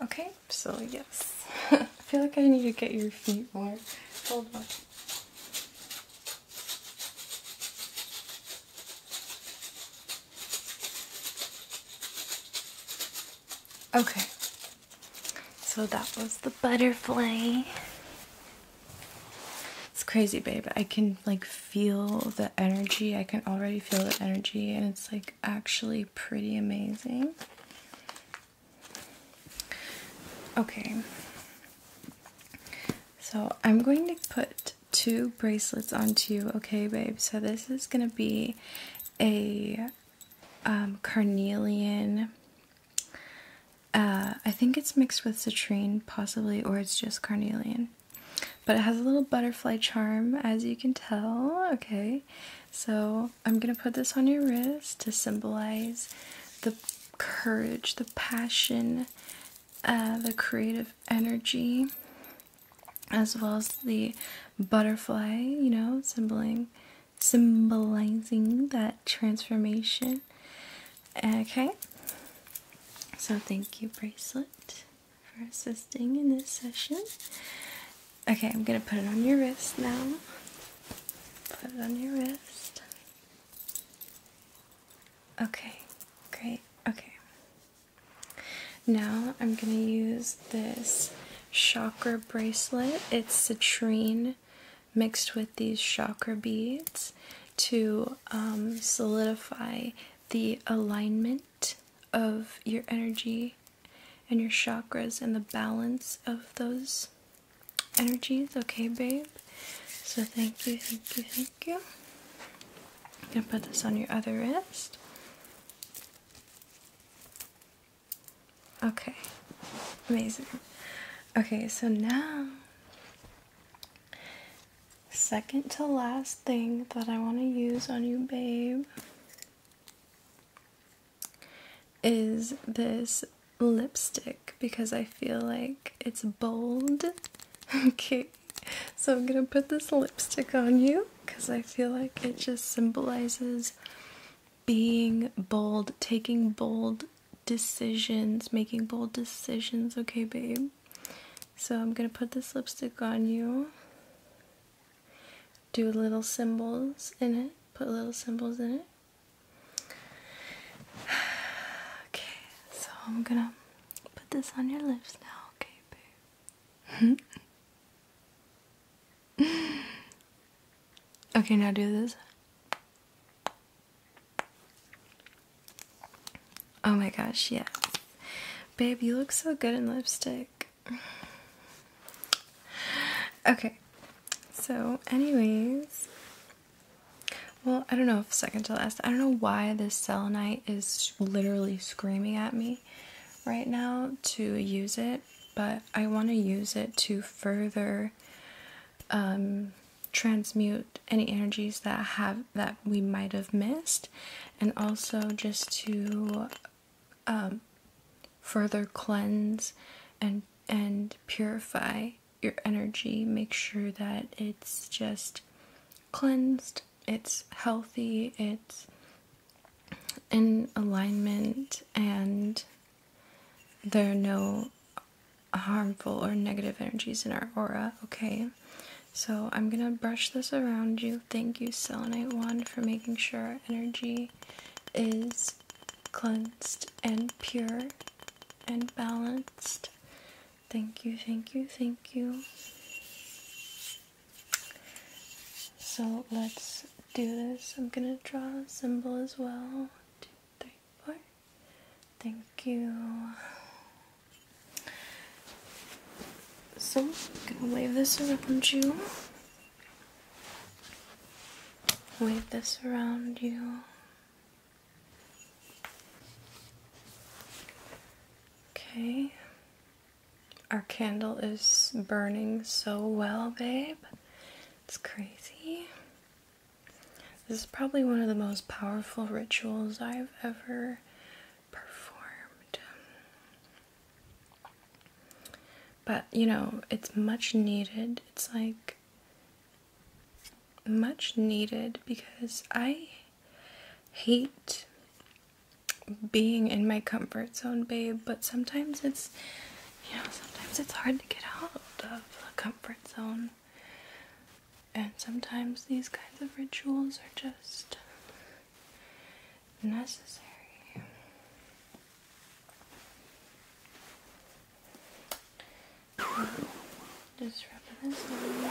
Okay, so yes, *laughs* I feel like I need to get your feet more. Hold on. Okay, so that was the butterfly. It's crazy, babe. I can like feel the energy. I can already feel the energy, and it's like actually pretty amazing. Okay, so I'm going to put two bracelets onto you, okay, babe? So this is going to be a um, carnelian. Uh, I think it's mixed with citrine, possibly, or it's just carnelian. But it has a little butterfly charm, as you can tell. Okay, so I'm gonna put this on your wrist to symbolize the courage, the passion, uh, the creative energy, as well as the butterfly, you know, symboling, symbolizing that transformation. Okay, so thank you, bracelet, for assisting in this session. Okay, I'm gonna put it on your wrist now. Put it on your wrist. Okay, great. Okay. Now I'm going to use this chakra bracelet. It's citrine mixed with these chakra beads to um, solidify the alignment of your energy and your chakras and the balance of those energies, okay, babe? So thank you, thank you, thank you. gonna put this on your other wrist. Okay, amazing. Okay, so now, second to last thing that I want to use on you, babe, is this lipstick because I feel like it's bold. *laughs* okay, so I'm gonna put this lipstick on you because I feel like it just symbolizes being bold, taking bold decisions, making bold decisions. Okay, babe. So I'm gonna put this lipstick on you. Do little symbols in it, put little symbols in it. *sighs* Okay, so I'm gonna put this on your lips now, okay, babe? *laughs* okay, now do this. Oh my gosh, yeah. Babe, you look so good in lipstick. *sighs* Okay, so, anyways, well, I don't know second to last. I don't know why this selenite is literally screaming at me right now to use it, but I want to use it to further um, transmute any energies that have that we might have missed, and also just to um, further cleanse and and purify your energy, make sure that it's just cleansed, it's healthy, it's in alignment, and there are no harmful or negative energies in our aura, okay? So I'm gonna brush this around you. Thank you, Selenite wand, for making sure our energy is cleansed and pure and balanced. Thank you, thank you, thank you. So let's do this. I'm gonna draw a symbol as well. Two, three, four. Thank you. So I'm gonna wave this around you. Wave this around you. Okay. Our candle is burning so well, babe. It's crazy. This is probably one of the most powerful rituals I've ever performed. But, you know, it's much needed. It's like much needed because I hate being in my comfort zone, babe, but sometimes it's you know, sometimes it's hard to get out of the comfort zone. And sometimes these kinds of rituals are just necessary. Just rubbing this on.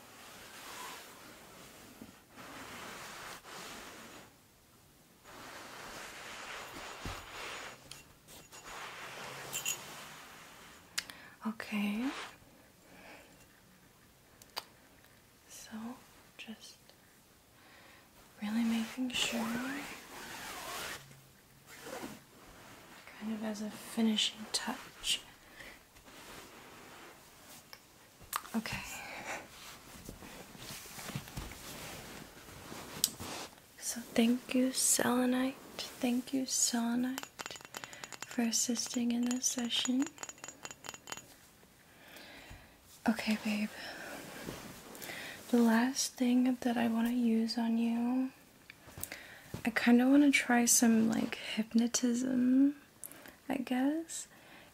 Okay. So, just really making sure, kind of as a finishing touch, Okay. So thank you, selenite. Thank you, selenite, for assisting in this session. Okay, babe. The last thing that I want to use on you, I kind of want to try some like hypnotism. I guess,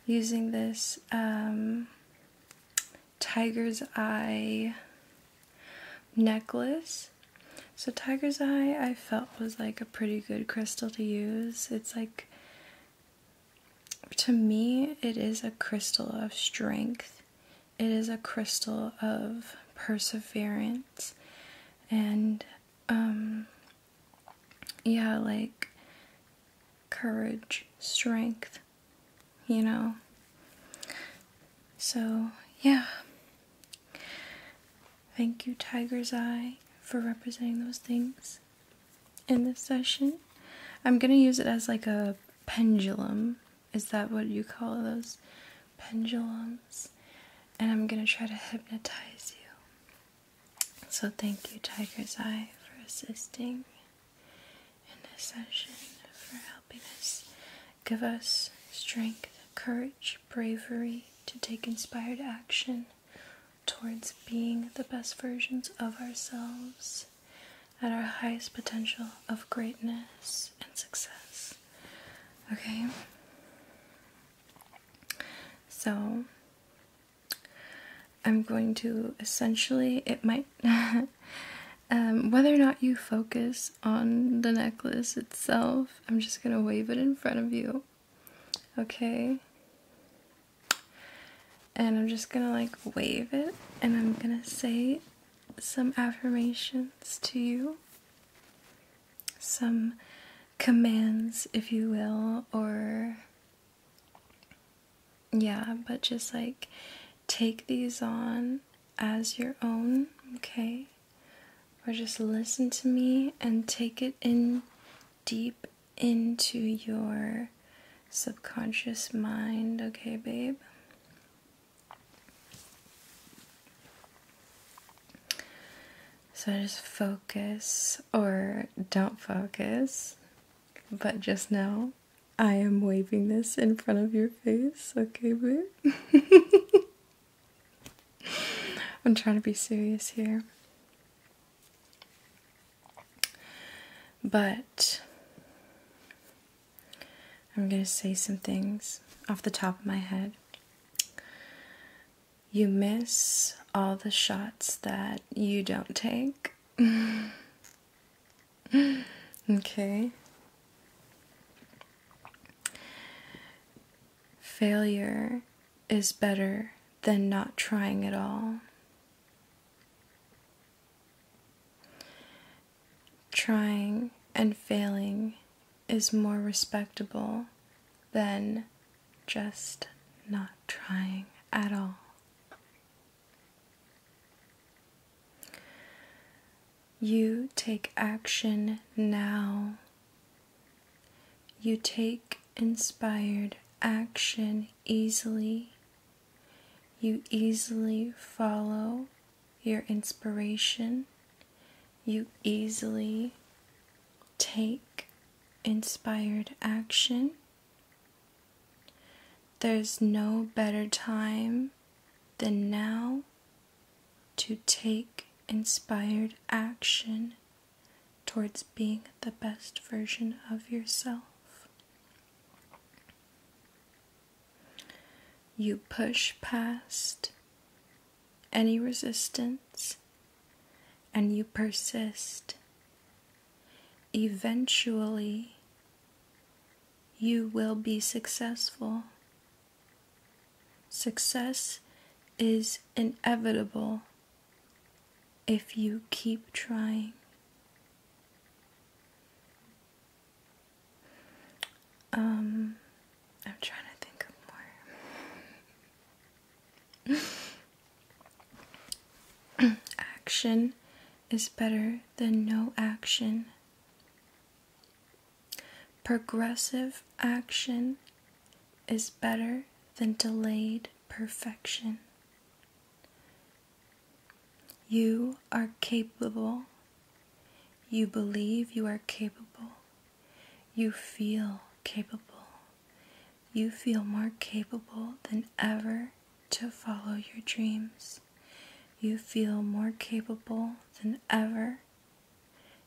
using this um, tiger's eye necklace. So tiger's eye I felt was like a pretty good crystal to use. It's like, to me, it is a crystal of strength. It is a crystal of perseverance and um, yeah, like courage, strength, you know. So, yeah. Thank you, Tiger's Eye, for representing those things in this session. I'm going to use it as like a pendulum. Is that what you call those? Pendulums. And I'm going to try to hypnotize you. So thank you, Tiger's Eye, for assisting in this session, for helping us give us strength, courage, bravery to take inspired action towards being the best versions of ourselves at our highest potential of greatness and success. Okay? So, I'm going to essentially, it might, *laughs* um, whether or not you focus on the necklace itself, I'm just going to wave it in front of you, okay? And I'm just going to like wave it and I'm going to say some affirmations to you, some commands, if you will, or yeah, but just like take these on as your own, okay? Or just listen to me and take it in deep into your subconscious mind, okay, babe? So just focus or don't focus, but just know I am waving this in front of your face, okay, boo? *laughs* I'm trying to be serious here. But I'm going to say some things off the top of my head you miss all the shots that you don't take. *laughs* okay. Failure is better than not trying at all. Trying and failing is more respectable than just not trying at all. You take action now. You take inspired action easily. You easily follow your inspiration. You easily take inspired action. There's no better time than now to take inspired action towards being the best version of yourself. You push past any resistance and you persist, eventually you will be successful. Success is inevitable if you keep trying. Um, I'm trying to think of more action is better than no action. Progressive action is better than delayed perfection. You are capable. You believe you are capable. You feel capable you feel more capable than ever to follow your dreams. You feel more capable than ever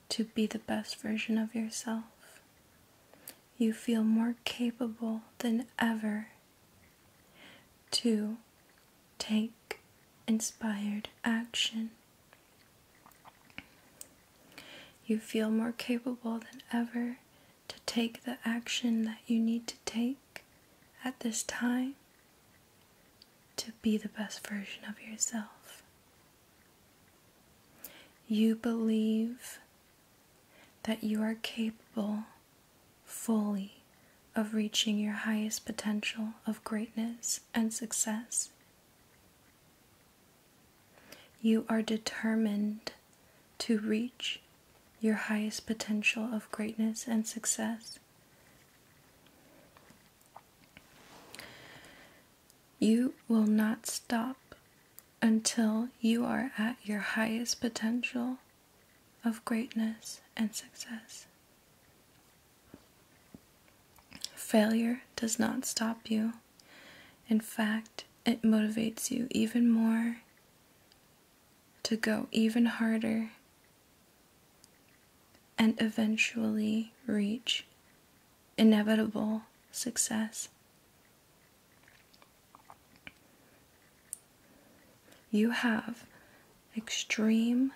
to be the best version of yourself. You feel more capable than ever to take inspired action. You feel more capable than ever to take the action that you need to take at this time to be the best version of yourself. You believe that you are capable fully of reaching your highest potential of greatness and success. You are determined to reach your highest potential of greatness and success. You will not stop until you are at your highest potential of greatness and success. Failure does not stop you. In fact, it motivates you even more to go even harder and eventually reach inevitable success. You have extreme,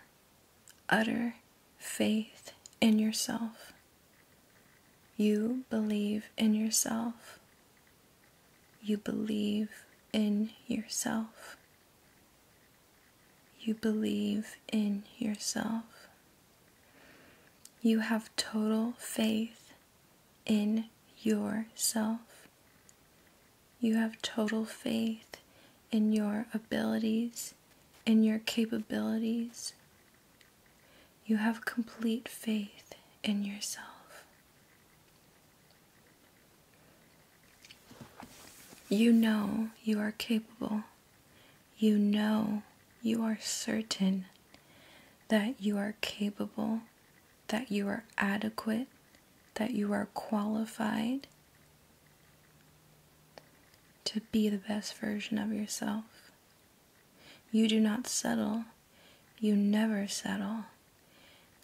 utter faith in yourself. You believe in yourself. You believe in yourself. You believe in yourself. You have total faith in yourself. You have total faith in your abilities, in your capabilities, you have complete faith in yourself. You know you are capable. You know you are certain that you are capable, that you are adequate, that you are qualified to be the best version of yourself. You do not settle you never settle.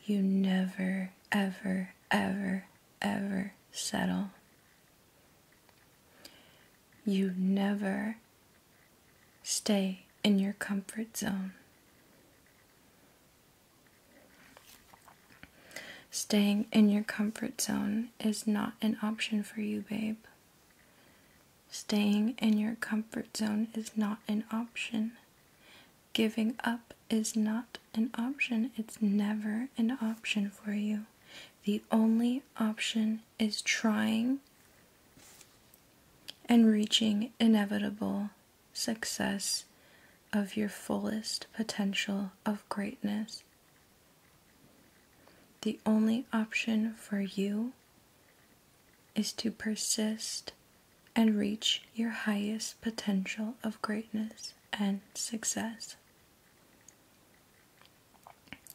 You never, ever, ever, ever settle. You never stay in your comfort zone. Staying in your comfort zone is not an option for you, babe. Staying in your comfort zone is not an option. Giving up is not an option. It's never an option for you. The only option is trying and reaching inevitable success of your fullest potential of greatness. The only option for you is to persist and reach your highest potential of greatness and success.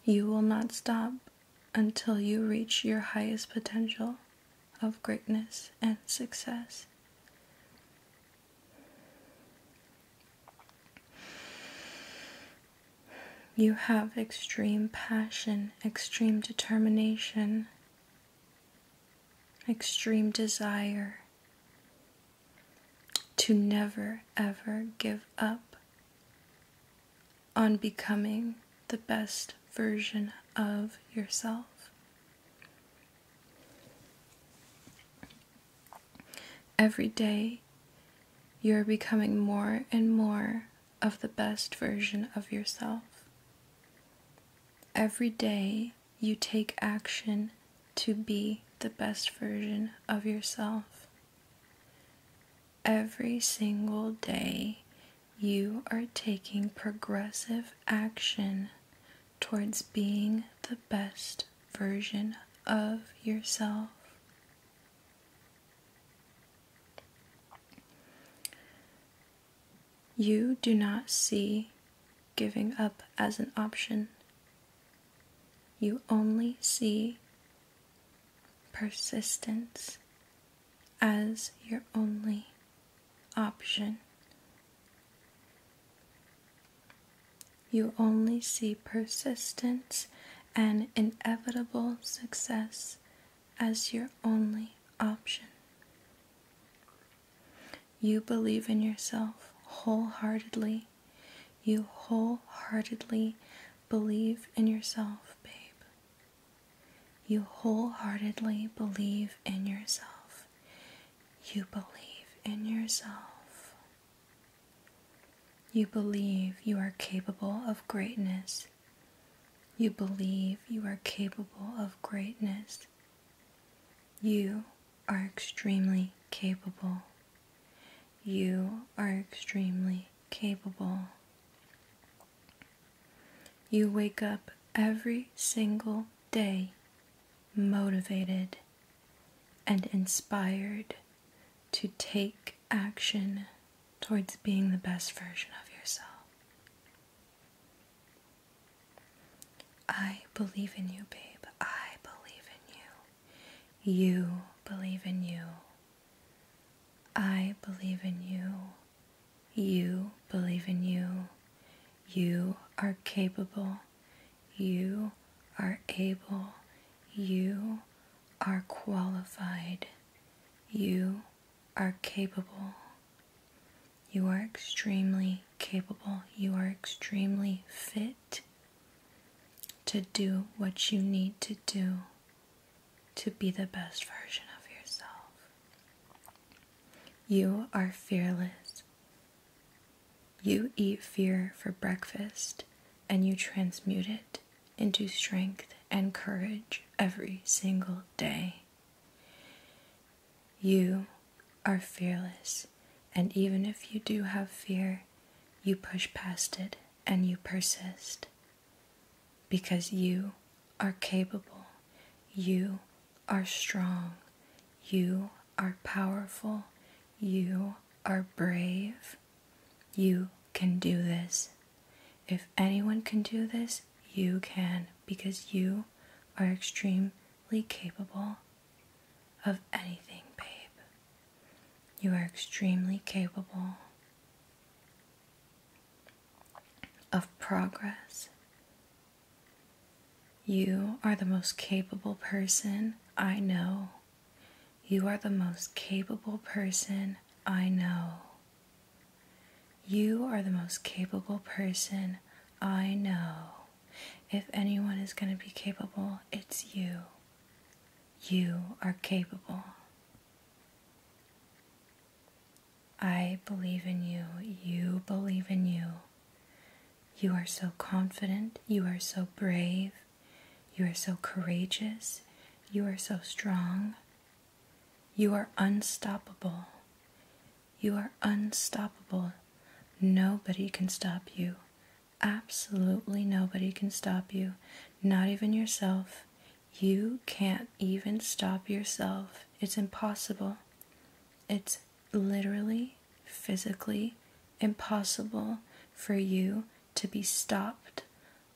You will not stop until you reach your highest potential of greatness and success. You have extreme passion, extreme determination, extreme desire to never ever give up on becoming the best version of yourself. Every day, you're becoming more and more of the best version of yourself. Every day you take action to be the best version of yourself. Every single day you are taking progressive action towards being the best version of yourself. You do not see giving up as an option. You only see persistence as your only option. You only see persistence and inevitable success as your only option. You believe in yourself wholeheartedly. You wholeheartedly believe in yourself, babe. You wholeheartedly believe in yourself. You believe in yourself. You believe you are capable of greatness you believe you are capable of greatness. You are extremely capable. You are extremely capable. You wake up every single day motivated and inspired to take action towards being the best version of yourself. I believe in you, babe. I believe in you. You believe in you. I believe in you. You believe in you. You are capable. You are able. You are qualified. You are capable. You are extremely capable. You are extremely fit to do what you need to do to be the best version of yourself. You are fearless. You eat fear for breakfast and you transmute it into strength and courage every single day. You are fearless, and even if you do have fear, you push past it and you persist because you are capable, you are strong, you are powerful, you are brave, you can do this. If anyone can do this, you can because you are extremely capable of anything, babe. You are extremely capable of progress. You are the most capable person I know. You are the most capable person I know. You are the most capable person I know. If anyone is going to be capable, it's you. You are capable. I believe in you. You believe in you. You are so confident. You are so brave. You are so courageous. You are so strong. You are unstoppable. You are unstoppable. Nobody can stop you. Absolutely nobody can stop you, not even yourself. You can't even stop yourself. It's impossible. It's literally, physically impossible for you to be stopped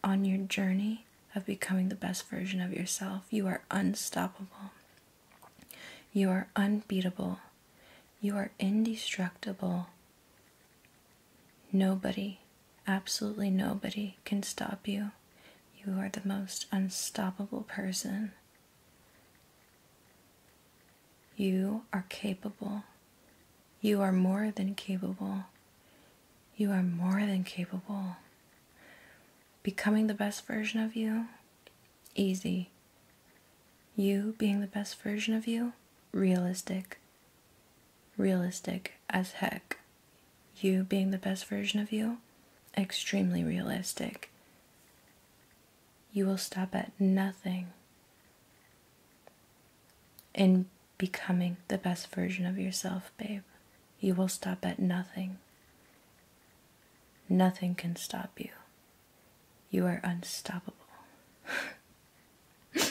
on your journey of becoming the best version of yourself. You are unstoppable. You are unbeatable. You are indestructible. Nobody, absolutely nobody, can stop you. You are the most unstoppable person. You are capable. You are more than capable. You are more than capable becoming the best version of you, easy. You being the best version of you, realistic. Realistic as heck. You being the best version of you, extremely realistic. You will stop at nothing in becoming the best version of yourself, babe you will stop at nothing. Nothing can stop you. You are unstoppable. *laughs*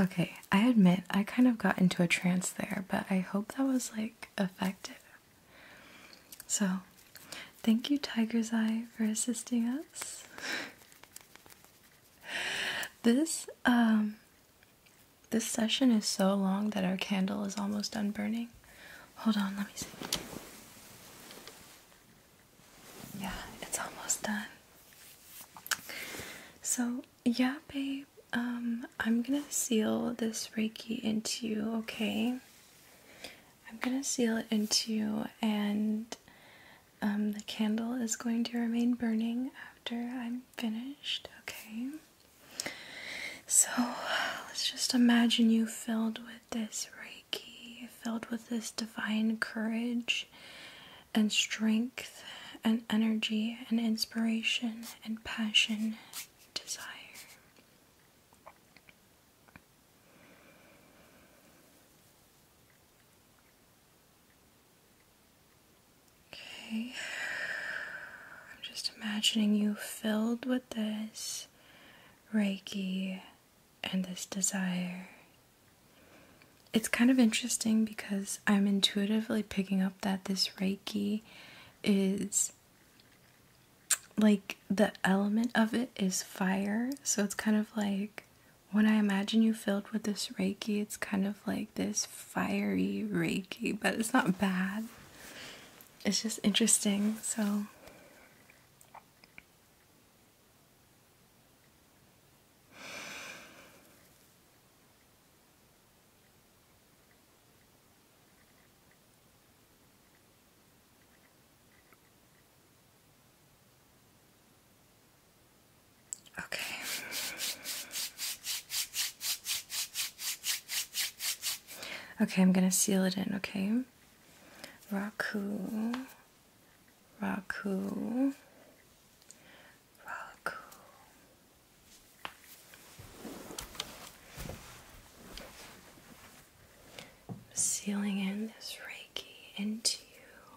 okay, I admit I kind of got into a trance there, but I hope that was like effective. So, thank you, Tiger's Eye, for assisting us. *laughs* this um, this session is so long that our candle is almost done burning. Hold on, let me see. Yeah, it's almost done. So, yeah, babe, um, I'm gonna seal this Reiki into okay? I'm gonna seal it into and um, the candle is going to remain burning after I'm finished. Okay. So let's just imagine you filled with this Reiki, filled with this divine courage and strength and energy and inspiration and passion, desire. Okay. I'm just imagining you filled with this Reiki and this desire. It's kind of interesting because I'm intuitively picking up that this Reiki is like the element of it is fire. So it's kind of like when I imagine you filled with this Reiki, it's kind of like this fiery reiki, but it's not bad. It's just interesting. So Okay. Okay, I'm gonna seal it in, okay? Raku. Raku. Raku. Sealing in this Reiki into you.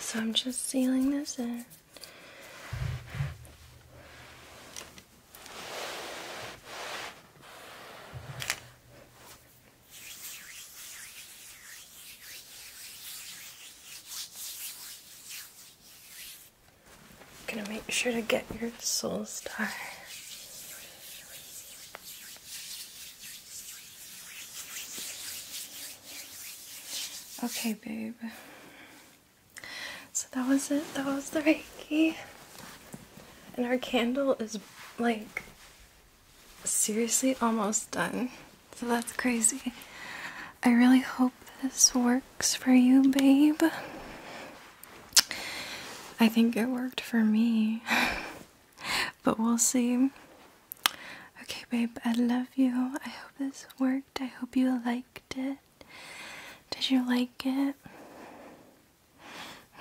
So I'm just sealing this in gonna make sure to get your soul star. Okay, babe. So that was it. That was the Reiki. And our candle is like seriously almost done. So that's crazy. I really hope this works for you, babe. I think it worked for me. *laughs* but we'll see. Okay, babe, I love you. I hope this worked. I hope you liked it. Did you like it?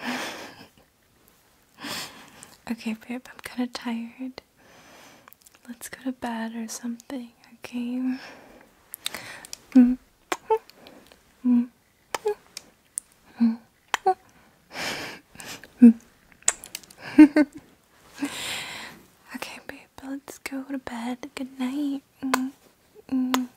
*laughs* okay, babe, I'm kind of tired. Let's go to bed or something, okay? Mm -hmm. Mm -hmm. okay, babe, let's go to bed. Good night. Mm -hmm.